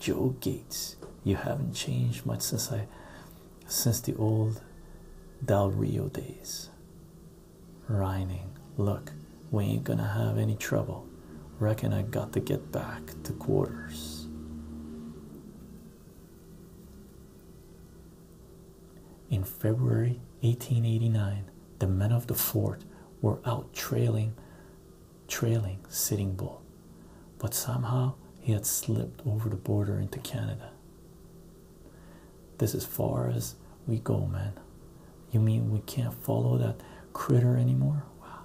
Joe Gates. You haven't changed much since I since the old Del Rio days. Reining, look, we ain't gonna have any trouble. Reckon I got to get back to quarters. In February 1889, the men of the fort were out trailing, trailing Sitting Bull, but somehow he had slipped over the border into Canada. This is far as we go, man. You mean we can't follow that critter anymore? Wow.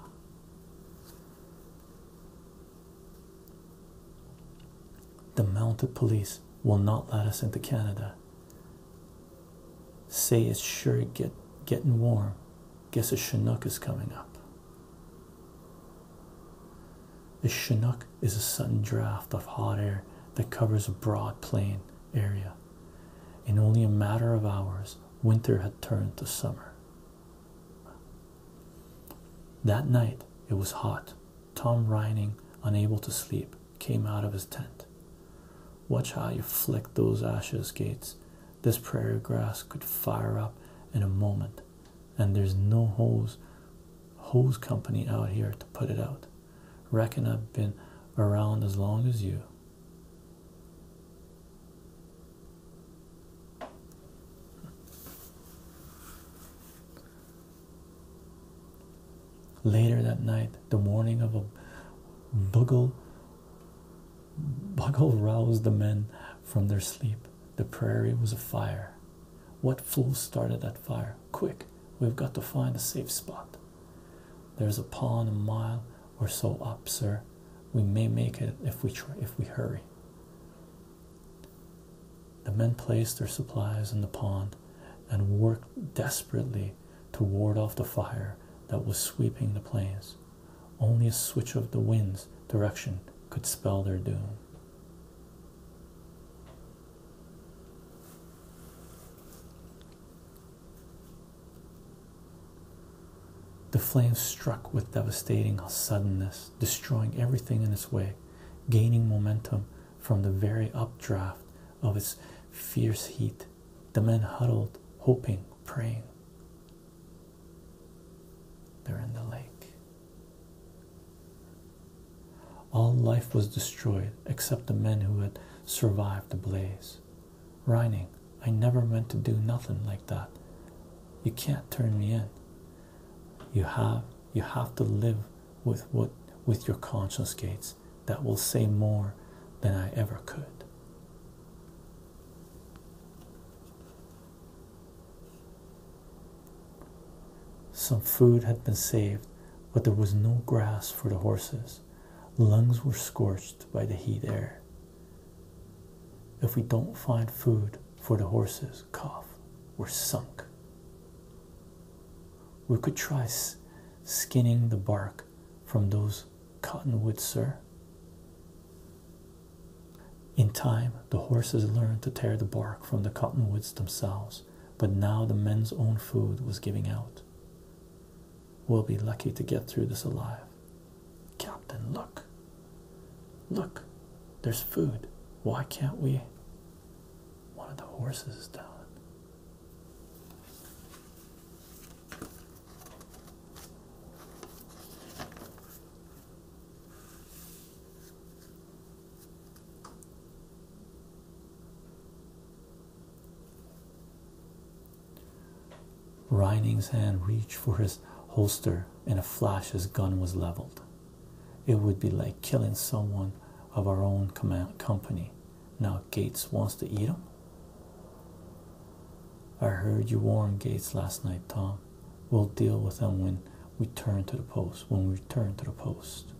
The mounted police will not let us into Canada. Say it's sure get getting warm. Guess a Chinook is coming up. A Chinook is a sudden draft of hot air that covers a broad plain area. In only a matter of hours, winter had turned to summer. That night it was hot. Tom Reining, unable to sleep, came out of his tent. Watch how you flick those ashes, Gates. This prairie grass could fire up in a moment, and there's no hose hose company out here to put it out. Reckon I've been around as long as you. Later that night, the morning of a bugle, bugle roused the men from their sleep. The prairie was afire. What fools started that fire? Quick, we've got to find a safe spot. There's a pond a mile or so up, sir. We may make it if we try, if we hurry. The men placed their supplies in the pond and worked desperately to ward off the fire that was sweeping the plains. Only a switch of the wind's direction could spell their doom. The flame struck with devastating suddenness, destroying everything in its way, gaining momentum from the very updraft of its fierce heat. The men huddled, hoping, praying. There in the lake. All life was destroyed, except the men who had survived the blaze. Reining, I never meant to do nothing like that. You can't turn me in. You have you have to live with what with your conscience gates that will say more than I ever could. Some food had been saved, but there was no grass for the horses lungs. Lungs were scorched by the heat air. If we don't find food for the horses, cough, we're sunk. We could try skinning the bark from those cottonwoods, sir. In time, the horses learned to tear the bark from the cottonwoods themselves, but now the men's own food was giving out. We'll be lucky to get through this alive. Captain, look. Look, there's food. Why can't we? One of the horses is down. Reining's hand reached for his holster. and a flash, his gun was leveled. It would be like killing someone of our own command company. Now Gates wants to eat him. I heard you warn Gates last night, Tom. We'll deal with him when we turn to the post. When we return to the post.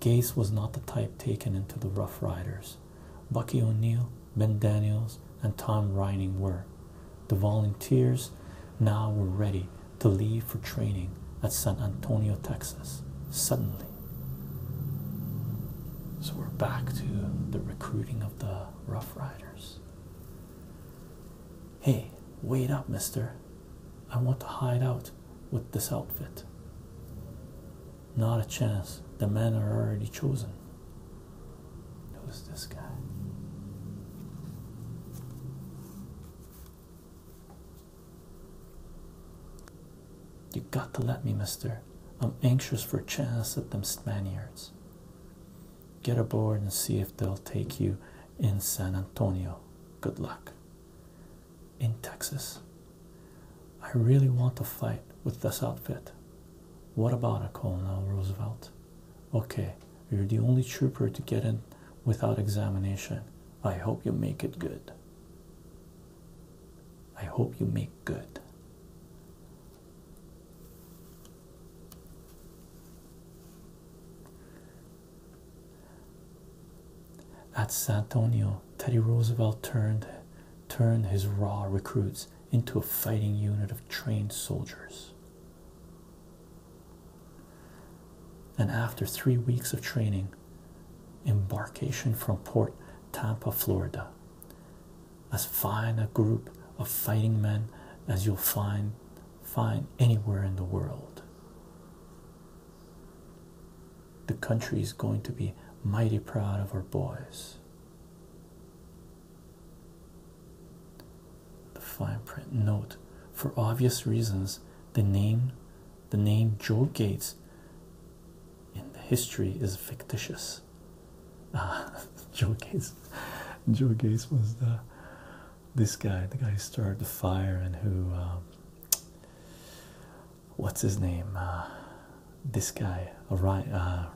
Gaze was not the type taken into the Rough Riders. Bucky O'Neill, Ben Daniels, and Tom Reining were. The volunteers now were ready to leave for training at San Antonio, Texas. Suddenly. So we're back to the recruiting of the Rough Riders. Hey, wait up, mister. I want to hide out with this outfit. Not a chance. The men are already chosen. Who's this guy? You have got to let me, mister. I'm anxious for a chance at them Spaniards. Get aboard and see if they'll take you in San Antonio. Good luck in Texas. I really want to fight with this outfit. What about it, Colonel Roosevelt? Okay, you're the only trooper to get in without examination. I hope you make it good. I hope you make good. At San Antonio, Teddy Roosevelt turned turned his raw recruits into a fighting unit of trained soldiers. And after three weeks of training, embarkation from Port Tampa, Florida, as fine a group of fighting men as you'll find find anywhere in the world the country is going to be mighty proud of our boys. The fine print note for obvious reasons the name the name Joe Gates in the history is fictitious. [LAUGHS] Ah, Joe Gates Joe Gates was the this guy, the guy who started the fire and who um, what's his name? Uh, this guy, uh,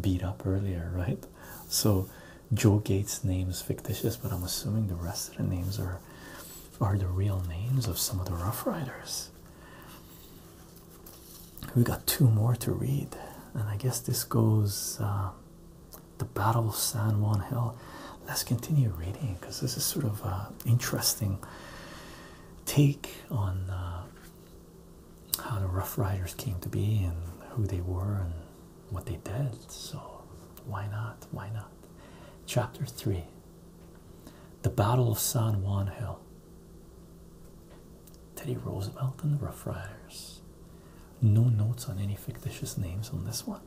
beat up earlier, right? So Joe Gates' name is fictitious, but I'm assuming the rest of the names are are the real names of some of the Rough Riders. We got two more to read, and I guess this goes uh, the Battle of San Juan Hill let's continue reading because this is sort of an uh, interesting take on uh, how the Rough Riders came to be and who they were and what they did. So, why not? Why not? Chapter 3 The Battle of San Juan Hill. Teddy Roosevelt and the Rough Riders. No notes on any fictitious names on this one.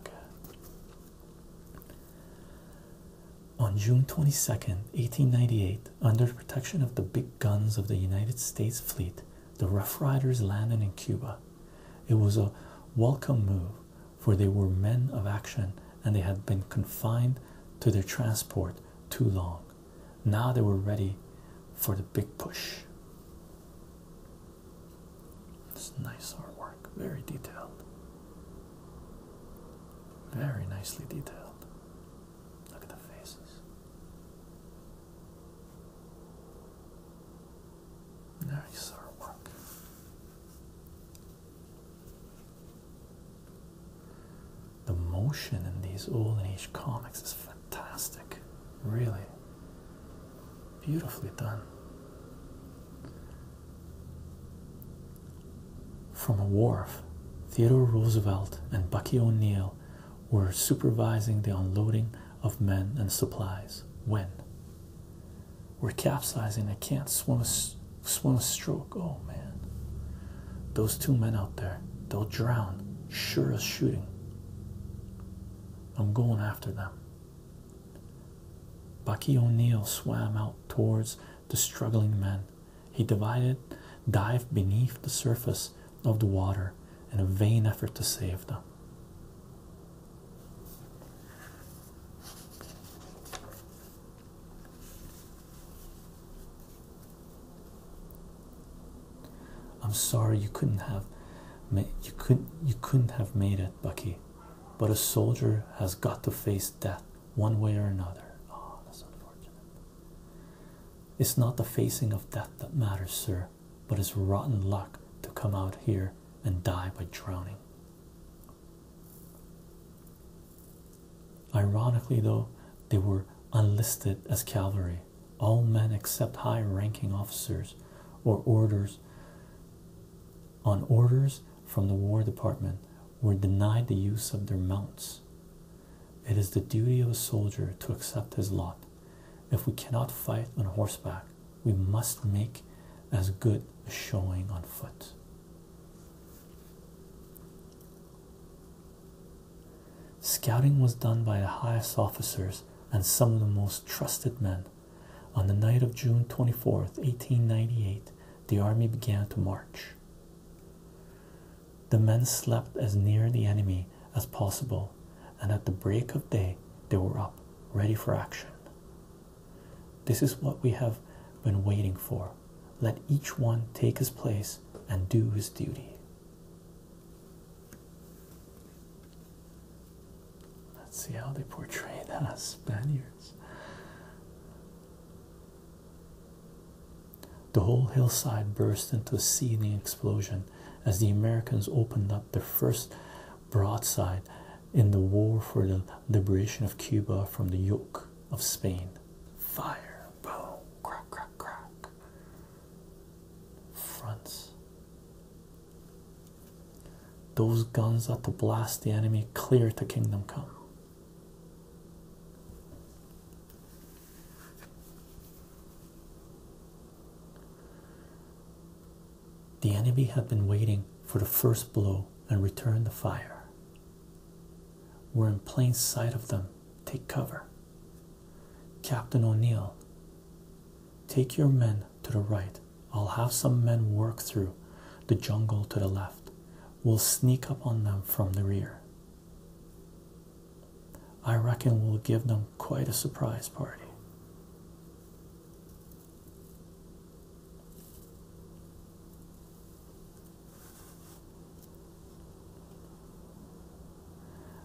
Okay. On June 22, 1898, under the protection of the big guns of the United States fleet, the Rough Riders landed in Cuba. It was a welcome move, for they were men of action and they had been confined to their transport too long. Now they were ready for the big push. It's nice artwork, very detailed. Very nicely detailed. Look at the faces. Nice artwork. The motion in these old age comics is fantastic. Really beautifully done. From a wharf, Theodore Roosevelt and Bucky O'Neill were supervising the unloading of men and supplies. When we're capsizing, I can't swim a, swim a stroke. Oh man, those two men out there, they'll drown, sure as shooting. I'm going after them. Bucky O'Neill swam out towards the struggling men. He divided, dived beneath the surface of the water in a vain effort to save them. I'm sorry you couldn't have you couldn't you couldn't have made it, Bucky. But a soldier has got to face death one way or another. Oh, that's unfortunate. It's not the facing of death that matters, sir, but it's rotten luck to come out here and die by drowning. Ironically, though, they were unlisted as cavalry. All men except high ranking officers or orders on orders from the War Department were denied the use of their mounts. It is the duty of a soldier to accept his lot. If we cannot fight on horseback, we must make as good a showing on foot. Scouting was done by the highest officers and some of the most trusted men. On the night of June twenty-fourth, 1898, the army began to march. The men slept as near the enemy as possible, and at the break of day, they were up, ready for action. This is what we have been waiting for. Let each one take his place and do his duty. Let's see how they portray [LAUGHS] that as Spaniards. The whole hillside burst into a seething explosion as the Americans opened up their first broadside in the war for the liberation of Cuba from the yoke of Spain. Fire, boom, crack, crack, crack. Fronts. Those guns ought to blast the enemy clear to Kingdom Come. The enemy had been waiting for the first blow and returned the fire. We're in plain sight of them. Take cover. Captain O'Neill, take your men to the right. I'll have some men work through the jungle to the left we'll sneak up on them from the rear. I reckon we'll give them quite a surprise party.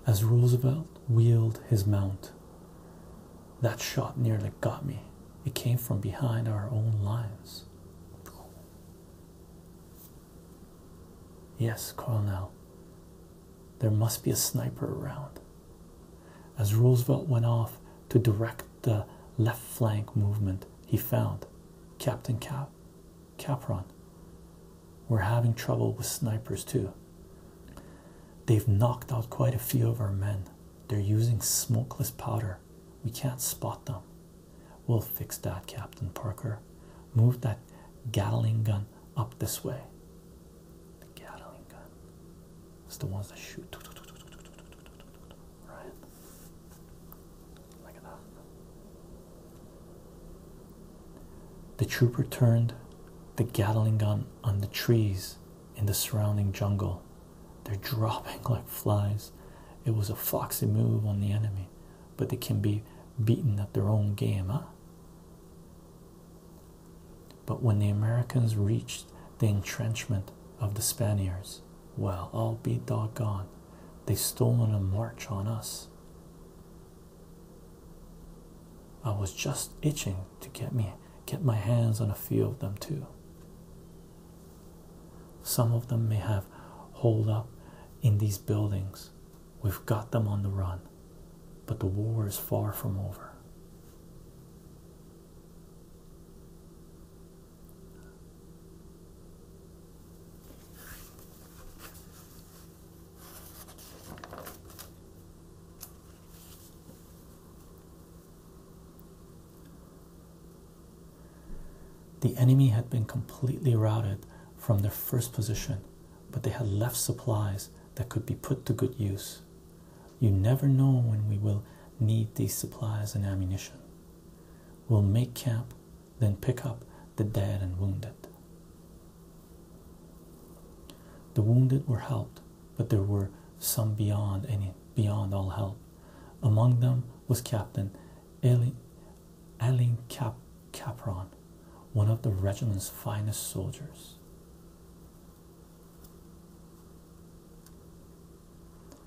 As Roosevelt wheeled his mount, that shot nearly got me. It came from behind our own lines. Yes, Colonel. There must be a sniper around. As Roosevelt went off to direct the left flank movement, he found Captain Capron. We're having trouble with snipers too. They've knocked out quite a few of our men. They're using smokeless powder. We can't spot them. We'll fix that, Captain Parker. Move that Gatling gun up this way. Gatling gun. It's the ones that shoot. Right? Like that. The trooper turned the Gatling gun on the trees in the surrounding jungle they're dropping like flies. It was a foxy move on the enemy, but they can be beaten at their own game, huh? But when the Americans reached the entrenchment of the Spaniards, well, I'll be doggone. They stolen a march on us. I was just itching to get me get my hands on a few of them too. Some of them may have holed up in these buildings. We've got them on the run, but the war is far from over. The enemy had been completely routed from their first position, but they had left supplies that could be put to good use. You never know when we will need these supplies and ammunition. We'll make camp, then pick up the dead and wounded. The wounded were helped, but there were some beyond any beyond all help. Among them was Captain Aline Elin Capron, one of the regiment's finest soldiers.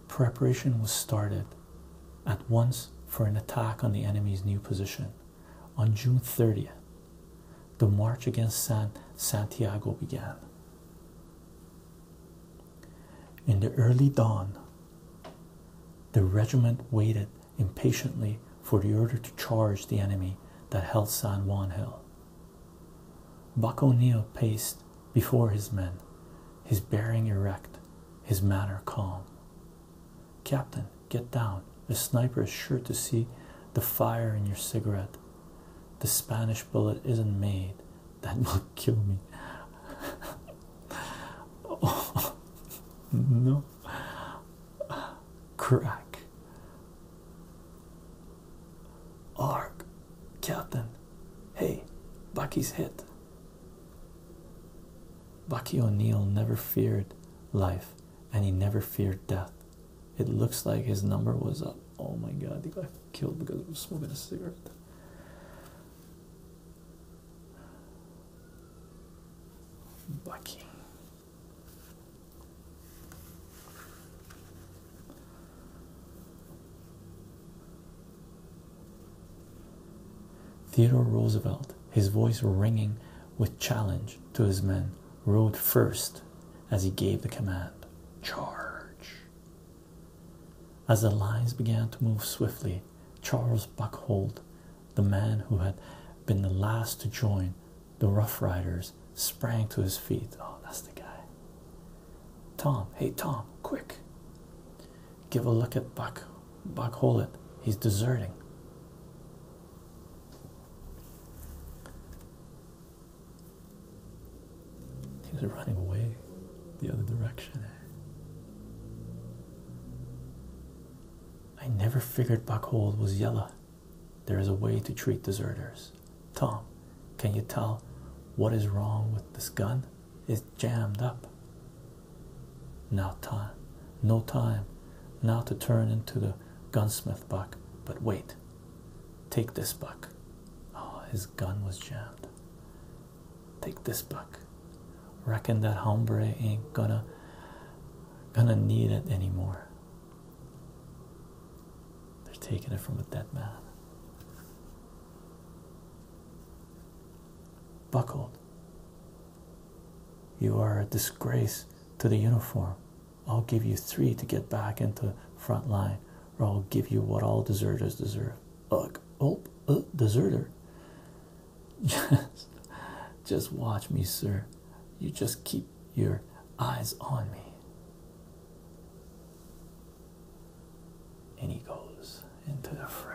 Preparation was started at once for an attack on the enemy's new position. On June 30th, the march against San Santiago began. In the early dawn the regiment waited impatiently for the order to charge the enemy that held San Juan Hill. Buck O'Neill paced before his men, his bearing erect, his manner calm. Captain, get down. The sniper is sure to see the fire in your cigarette. The Spanish bullet isn't made that [LAUGHS] will kill me. oh [LAUGHS] no, crack. Ark, Captain. Hey, Bucky's hit. Bucky O'Neill never feared life and he never feared death. It looks like his number was up. Oh my god, he got killed because he was smoking a cigarette. Bucky. Theodore Roosevelt, his voice ringing with challenge to his men, rode first as he gave the command Charge! As the lines began to move swiftly, Charles Buckhold, the man who had been the last to join the Rough Riders, sprang to his feet. Oh, that's the guy. Tom, hey Tom, quick. Give a look at Buck. Buckhold, He's deserting. He's running away the other direction. I never figured Buckhold was Yella. There is a way to treat deserters. Tom, can you tell what is wrong with this gun? It's jammed up. Now Tom, no time, now to turn into the gunsmith buck. But wait, take this buck. Oh, his gun was jammed. Take this buck. Reckon that hombre ain't gonna gonna need it anymore. They're taking it from a dead man. Buckled. You are a disgrace to the uniform. I'll give you three to get back into front line, or I'll give you what all deserters deserve. Ugh oh, a uh, deserter just [LAUGHS] just watch me sir you just keep your eyes on me and he goes into the fray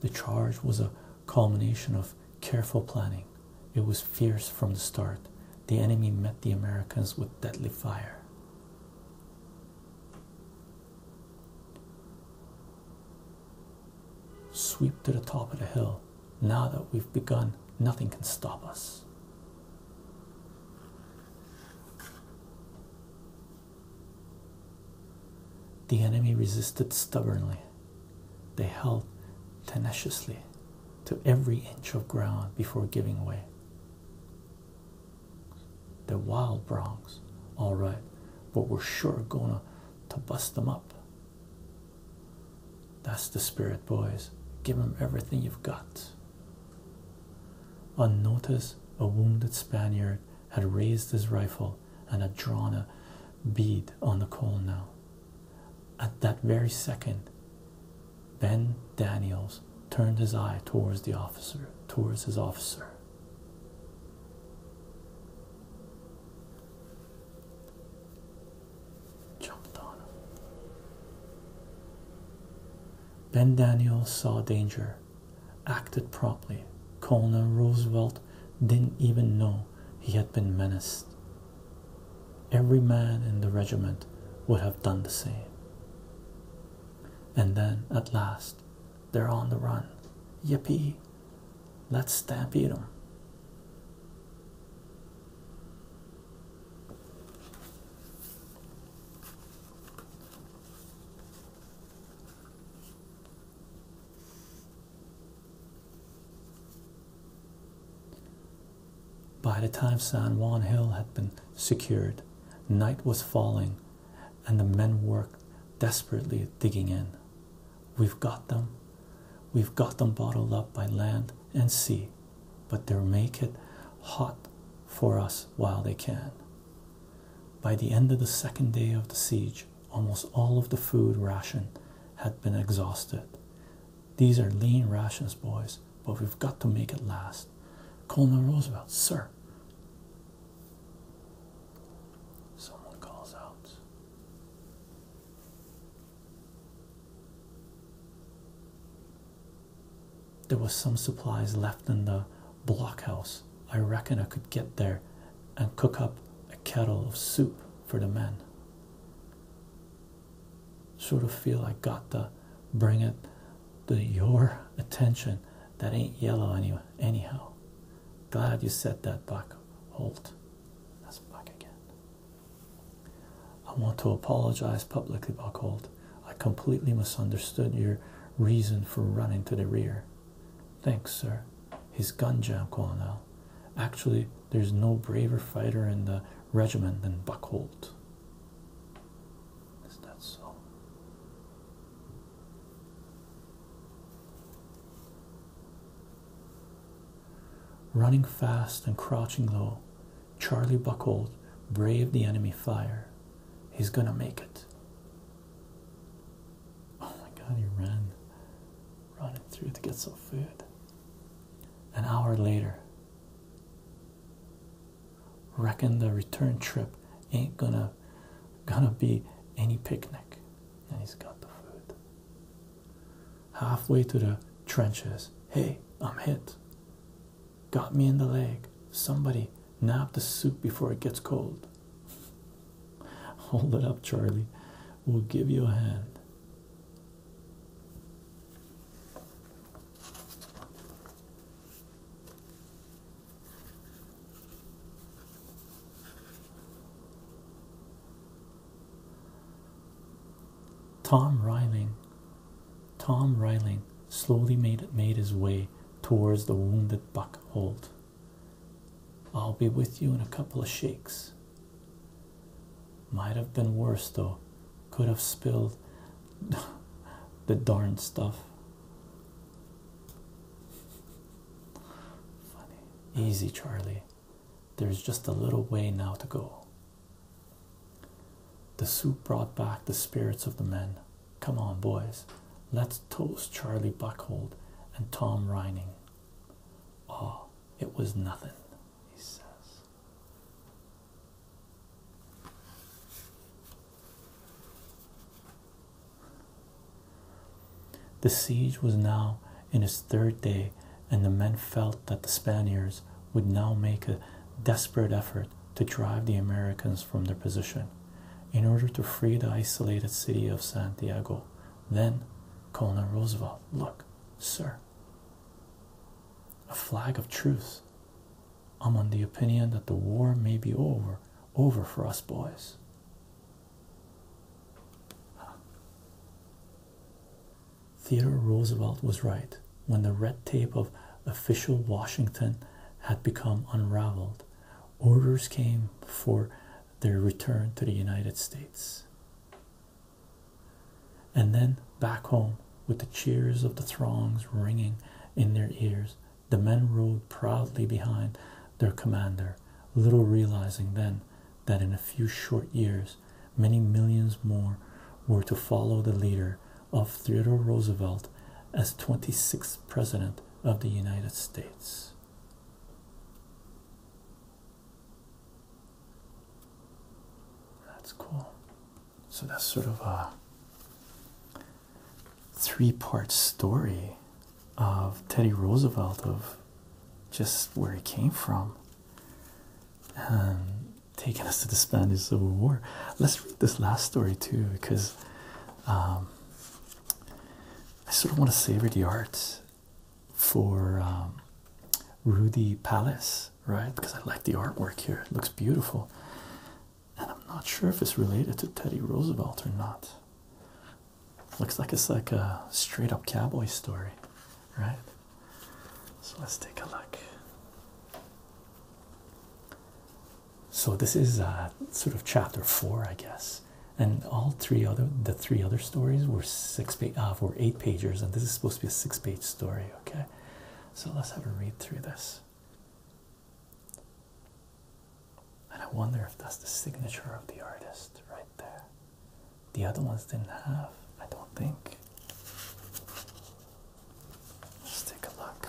the charge was a culmination of careful planning. It was fierce from the start. The enemy met the Americans with deadly fire. Sweep to the top of the hill. Now that we've begun, nothing can stop us. The enemy resisted stubbornly. They held tenaciously to every inch of ground before giving way. The wild Bronx, all right, but we're sure gonna to bust them up. That's the spirit, boys. Give them everything you've got. On notice, a wounded Spaniard had raised his rifle and had drawn a bead on the colonel. At that very second, Ben Daniels turned his eye towards the officer, towards his officer. Jumped on him. Ben Daniels saw danger, acted promptly. Colonel Roosevelt didn't even know he had been menaced. Every man in the regiment would have done the same. And then, at last, they're on the run. Yippee! Let's stampede them. By the time San Juan Hill had been secured, night was falling, and the men worked desperately digging in. We've got them. We've got them bottled up by land and sea, but they'll make it hot for us while they can. By the end of the second day of the siege, almost all of the food ration had been exhausted. These are lean rations, boys, but we've got to make it last. Colonel Roosevelt, sir. Someone calls out. There was some supplies left in the blockhouse. I reckon I could get there and cook up a kettle of soup for the men. Sort of feel I got to bring it to your attention. That ain't yellow anyway. Anyhow, glad you said that, Buck Holt. That's Buck again. I want to apologize publicly, Buck Holt. I completely misunderstood your reason for running to the rear. Thanks, sir. His gun jam, Colonel. Actually, there's no braver fighter in the regiment than Buck Holt. Is that so? Running fast and crouching low, Charlie Buckholt braved the enemy fire. He's gonna make it. Oh my god, he ran running through to get some food. An hour later, reckon the return trip ain't gonna gonna be any picnic. And he's got the food. Halfway to the trenches, hey, I'm hit. Got me in the leg. Somebody nab the soup before it gets cold. [LAUGHS] Hold it up, Charlie. We'll give you a hand. Tom Ryling, Tom Ryling slowly made made his way towards the wounded buck Holt. I'll be with you in a couple of shakes. Might have been worse though. Could have spilled [LAUGHS] the darned stuff. Funny. Easy, Charlie. There's just a little way now to go. The soup brought back the spirits of the men. Come on, boys. Let's toast Charlie Buckhold and Tom Reining. Ah, it was nothing he says. The siege was now in its third day, and the men felt that the Spaniards would now make a desperate effort to drive the Americans from their position in order to free the isolated city of Santiago. Then Colonel Roosevelt, look, sir, a flag of truce. I'm on the opinion that the war may be over, over for us boys. Theodore Roosevelt was right when the red tape of official Washington had become unraveled. Orders came for their return to the United States. And then back home, with the cheers of the throngs ringing in their ears, the men rode proudly behind their commander, little realizing then that in a few short years, many millions more were to follow the leader of Theodore Roosevelt as 26th President of the United States. That's cool. So that's sort of a three-part story of Teddy Roosevelt of just where he came from and taking us to the Spanish Civil War. Let's read this last story too because um, I sort of want to savor the art for um, Rudy Palace, right? Because I like the artwork here, it looks beautiful. And I'm not sure if it's related to Teddy Roosevelt or not. Looks like it's like a straight up cowboy story, right? So let's take a look. So this is uh, sort of chapter four, I guess, and all three other the three other stories were six page uh, were eight pagers, and this is supposed to be a six page story. Okay, so let's have a read through this. And I wonder if that's the signature of the artist right there. The other ones didn't have, I don't think. Let's take a look.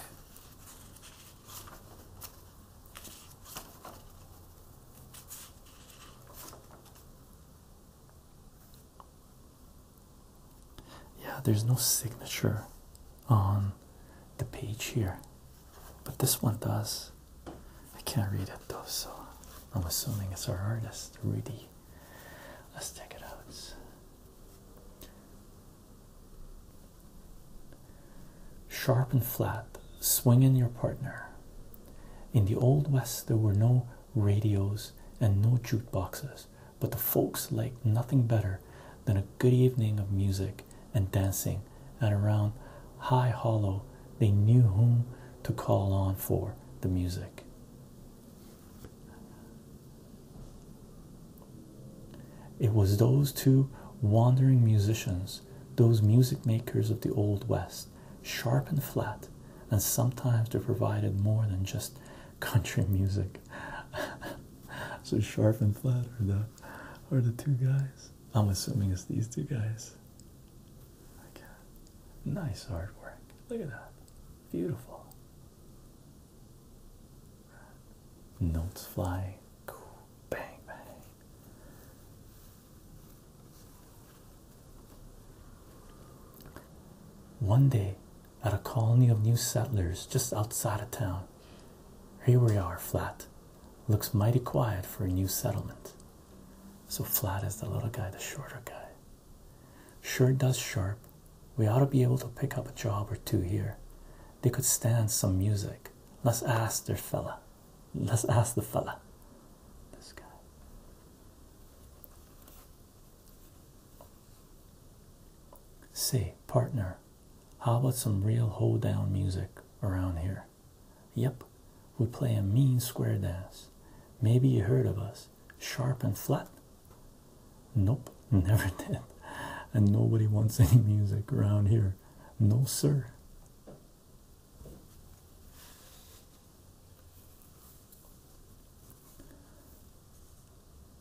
Yeah, there's no signature on the page here, but this one does. I can't read it though, so I'm assuming it's our artist, Rudy. Let's check it out. Sharp and flat, swing in your partner. In the Old West, there were no radios, and no jukeboxes, but the folks liked nothing better than a good evening of music and dancing, and around High Hollow they knew whom to call on for the music. It was those two wandering musicians, those music makers of the Old West, sharp, and flat, and sometimes they are provided more than just country music. [LAUGHS] so, sharp and flat are the, are the two guys. I'm assuming it's these two guys. Okay. Nice artwork. Look at that. Beautiful. Notes flying, Bang, bang. One day, at a colony of new settlers just outside of town, here we are, Flat. Looks mighty quiet for a new settlement. So, Flat is the little guy, the shorter guy. Sure does sharp. We ought to be able to pick up a job or two here. They could stand some music. Let's ask their fella. Let's ask the fella. This guy. Say, partner, how about some real hoedown music around here? Yep, we play a mean square dance. Maybe you heard of us. Sharp and flat? Nope, [LAUGHS] never did. And nobody wants any music around here. No, sir.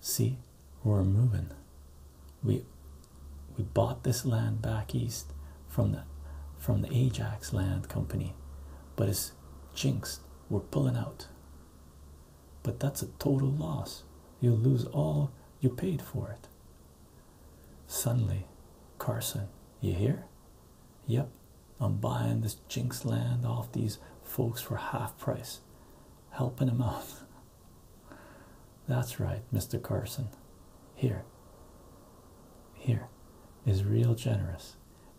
See, we're moving. We we bought this land back east from the from the Ajax Land Company, but it's jinxed. We're pulling out. But that's a total loss. You'll lose all you paid for it. Suddenly, Carson, you hear? Yep, I'm buying this Jinx land off these folks for half price, helping them out. [LAUGHS] That's right, Mr. Carson. Here, here is real generous,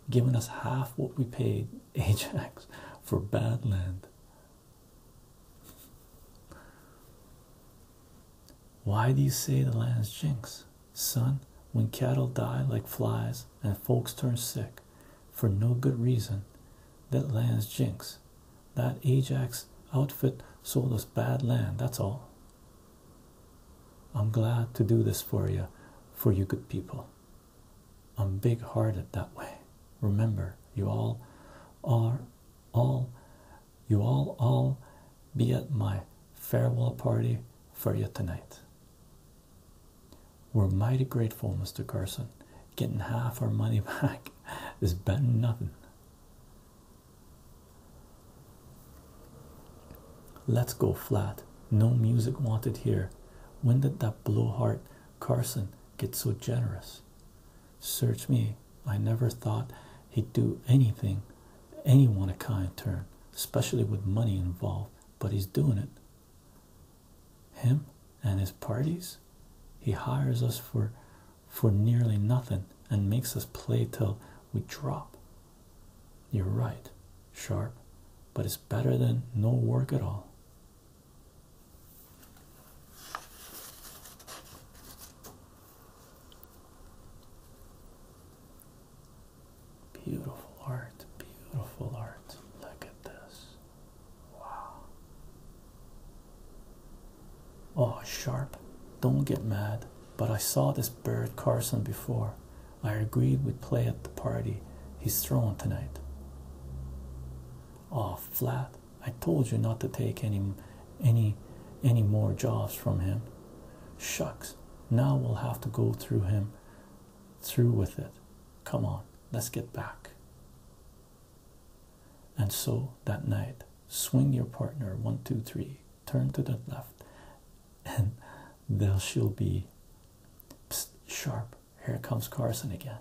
giving us half what we paid [LAUGHS] Ajax for bad land. Why do you say the land's jinx? son, when cattle die like flies and folks turn sick for no good reason, that land's jinx. That Ajax outfit sold us bad land, that's all. I'm glad to do this for you, for you good people. I'm big hearted that way. Remember, you all are all you all all be at my farewell party for you tonight. We're mighty grateful, Mr. Carson. Getting half our money [LAUGHS] back is better than nothing. Let's go flat. No music wanted here. When did that blowhard Carson get so generous? Search me. I never thought he'd do anything, anyone a kind turn, especially with money involved, but he's doing it him and his parties he hires us for for nearly nothing and makes us play till we drop you're right sharp but it's better than no work at all Beautiful art, beautiful art. Look at this. Wow. Oh, Sharp, don't get mad, but I saw this bird Carson before. I agreed we'd play at the party he's throwing tonight. Oh, Flat, I told you not to take any, any, any more jobs from him. Shucks, now we'll have to go through him, through with it. Come on, let's get back. And so that night, swing your partner one, two, three, turn to the left, and there she'll be sharp. Here comes Carson again.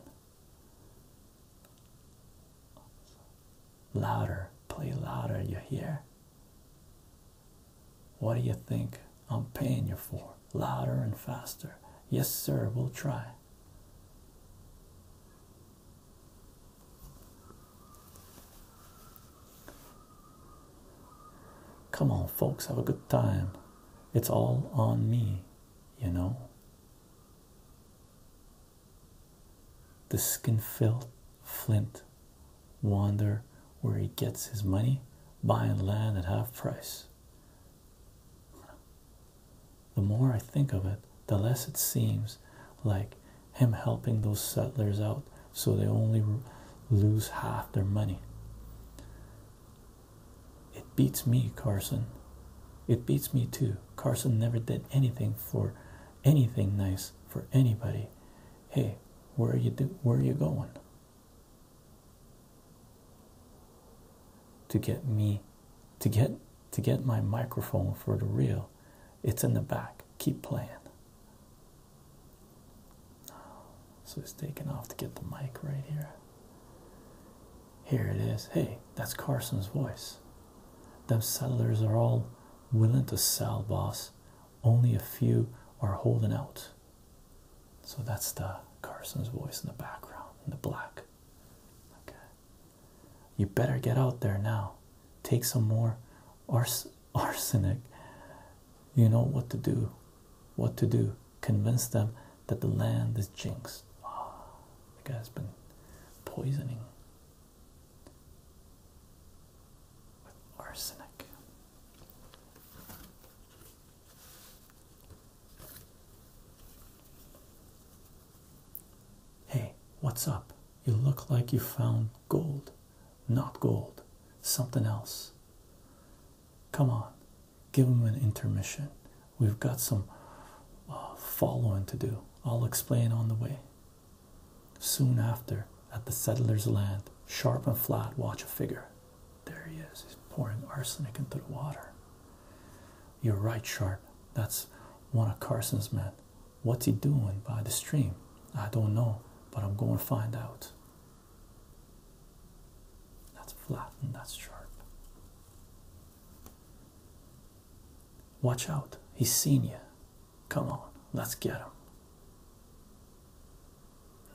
Louder, play louder, you hear. What do you think I'm paying you for? Louder and faster. Yes, sir, we'll try. Come on, folks, have a good time. It's all on me, you know. The skin-filled Flint wander where he gets his money, buying land at half price. The more I think of it, the less it seems like him helping those settlers out so they only lose half their money. It beats me, Carson. It beats me too. Carson never did anything for anything nice for anybody. Hey, where are you do where are you going? to get me to get to get my microphone for the real, it's in the back keep playing so he's taking off to get the mic right here here it is hey that's carson's voice them settlers are all willing to sell boss only a few are holding out so that's the Carson's voice in the background in the black. Okay. You better get out there now. Take some more arsenic. You know what to do. What to do. Convince them that the land is jinxed. Ah, the guy's been poisoning with arsenic. Hey, what's up? You look like you found gold. Not gold, something else. Come on, give him an intermission. We've got some uh, following to do. I'll explain on the way. Soon after, at the settler's land, sharp and flat, watch a figure. There he is. He's pouring arsenic into the water. You're right, Sharp. That's one of Carson's men. What's he doing by the stream? I don't know, but I'm going to find out. That's flat and that's sharp. Watch out. He's seen you. Come on, let's get him.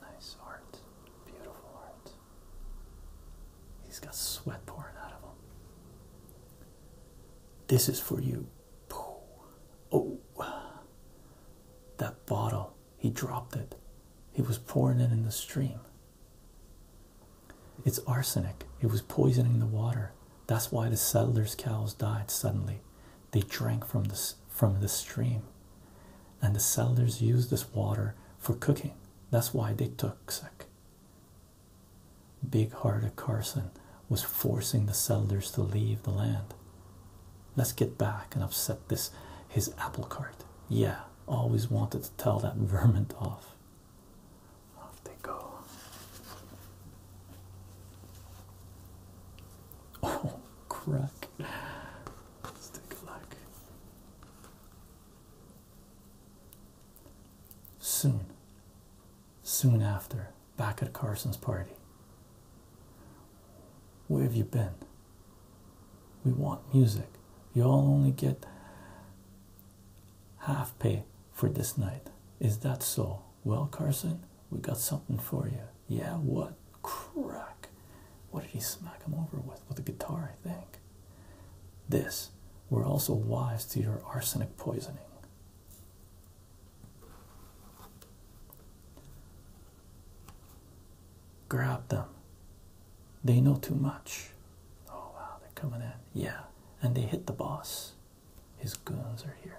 Nice art. Beautiful art. He's got sweat pouring out of him. This is for you. Oh, that bottle. He dropped it. He was pouring it in the stream. It's arsenic. It was poisoning the water. That's why the settlers' cows died suddenly. They drank from this from the stream and the settlers used this water for cooking. That's why they took sick. Big hearted Carson was forcing the settlers to leave the land. Let's get back and upset this his apple cart. Yeah, always wanted to tell that vermin off. Off they go. Oh, crack. Let's take a look. Soon, soon after, back at Carson's party. Where have you been? We want music. You all only get half pay for this night. Is that so? Well, Carson, we got something for you. Yeah, what? Crack. What did he smack him over with? With a guitar, I think. This, we're also wise to your arsenic poisoning. Grab them. They know too much. Oh wow, they're coming in. Yeah, and they hit the boss. His goons are here.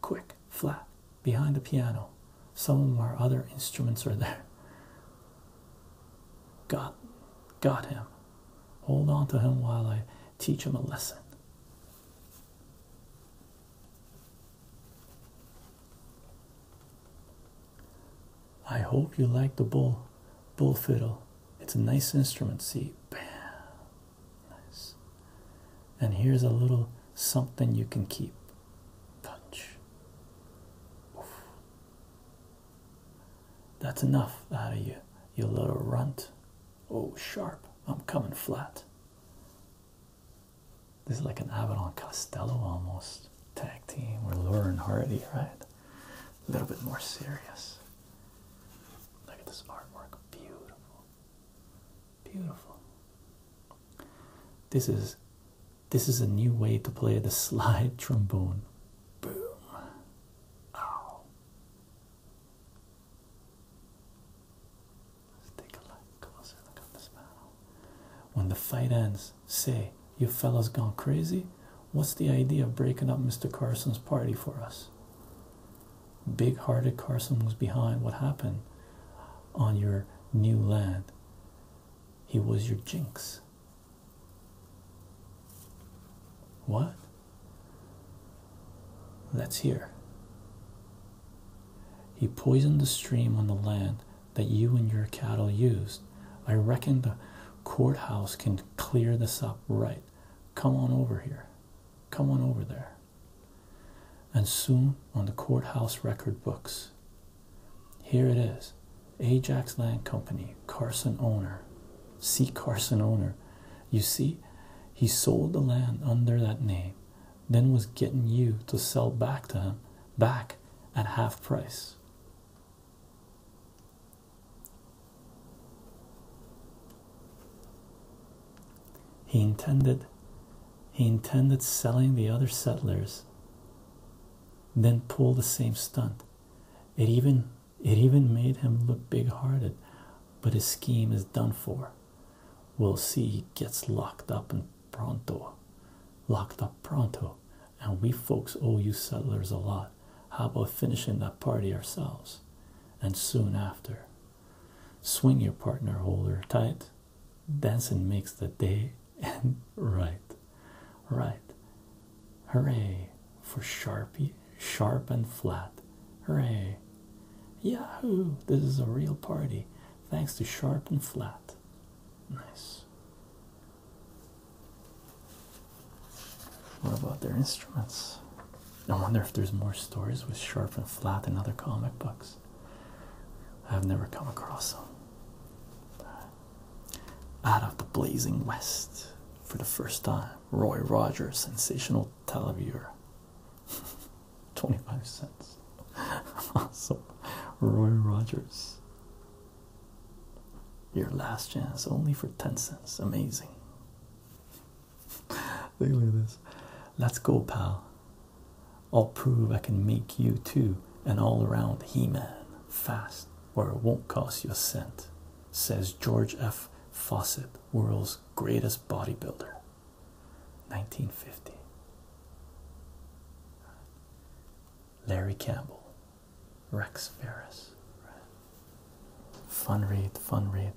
Quick, flat, behind the piano. Some of our other instruments are there. Got, got him. Hold on to him while I teach him a lesson. I hope you like the bull, bull fiddle. It's a nice instrument. See, bam, nice. And here's a little something you can keep. Punch. That's enough out of you, you little runt. Oh, sharp, I'm coming flat. This is like an Avalon Costello almost tag team with Laura and Hardy, right? A little bit more serious. Look at this artwork, beautiful, beautiful. This is this is a new way to play the slide [LAUGHS] trombone. Boom. Ow. Let's take a look closer look at this man. When the fight ends, say, you fellows gone crazy? What's the idea of breaking up Mr. Carson's party for us? Big hearted Carson was behind what happened on your new land. He was your jinx. What? Let's hear. He poisoned the stream on the land that you and your cattle used. I reckon the courthouse can clear this up right. Come on over here. Come on over there. And soon on the courthouse record books. Here it is Ajax Land Company, Carson owner. See Carson owner. You see, he sold the land under that name, then was getting you to sell back to him back at half price. He intended he intended selling the other settlers then pull the same stunt. It even it even made him look big-hearted, but his scheme is done for. We'll see he gets locked up in pronto. Locked up pronto. And we folks owe you settlers a lot. How about finishing that party ourselves? And soon after. Swing your partner holder tight. Dancing makes the day and right, right. Hooray for Sharpie, sharp and flat. Hooray. Yahoo! This is a real party. Thanks to Sharp and Flat. Nice. What about their instruments? I wonder if there's more stories with Sharp and Flat in other comic books. I've never come across them. Out of the blazing west for the first time, Roy Rogers, sensational televiewer. [LAUGHS] 25 cents. awesome. [LAUGHS] Roy Rogers. Your last chance, only for 10 cents. Amazing. [LAUGHS] Look at this. Let's go, pal. I'll prove I can make you too an all around He Man fast, where it won't cost you a cent, says George F. Fawcett, world's greatest bodybuilder. 1950. Larry Campbell, Rex Ferris. Fun read, fun read.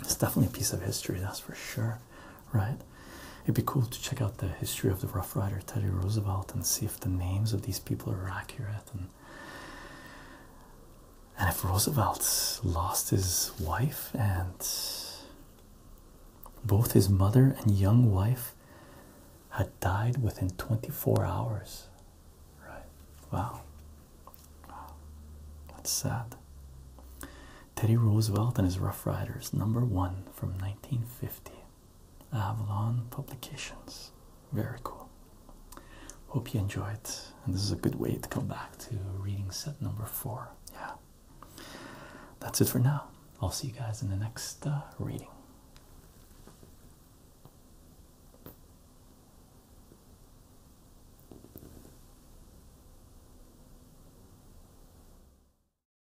It's definitely a piece of history, that's for sure, right? It'd be cool to check out the history of the Rough Rider Teddy Roosevelt and see if the names of these people are accurate and and if Roosevelt lost his wife and both his mother and young wife had died within 24 hours. Right. Wow. Wow. That's sad. Teddy Roosevelt and his Rough Riders, number one from 1950. Avalon Publications. Very cool. Hope you enjoy it. And this is a good way to come back to reading set number four. Yeah. That's it for now. I'll see you guys in the next uh, reading.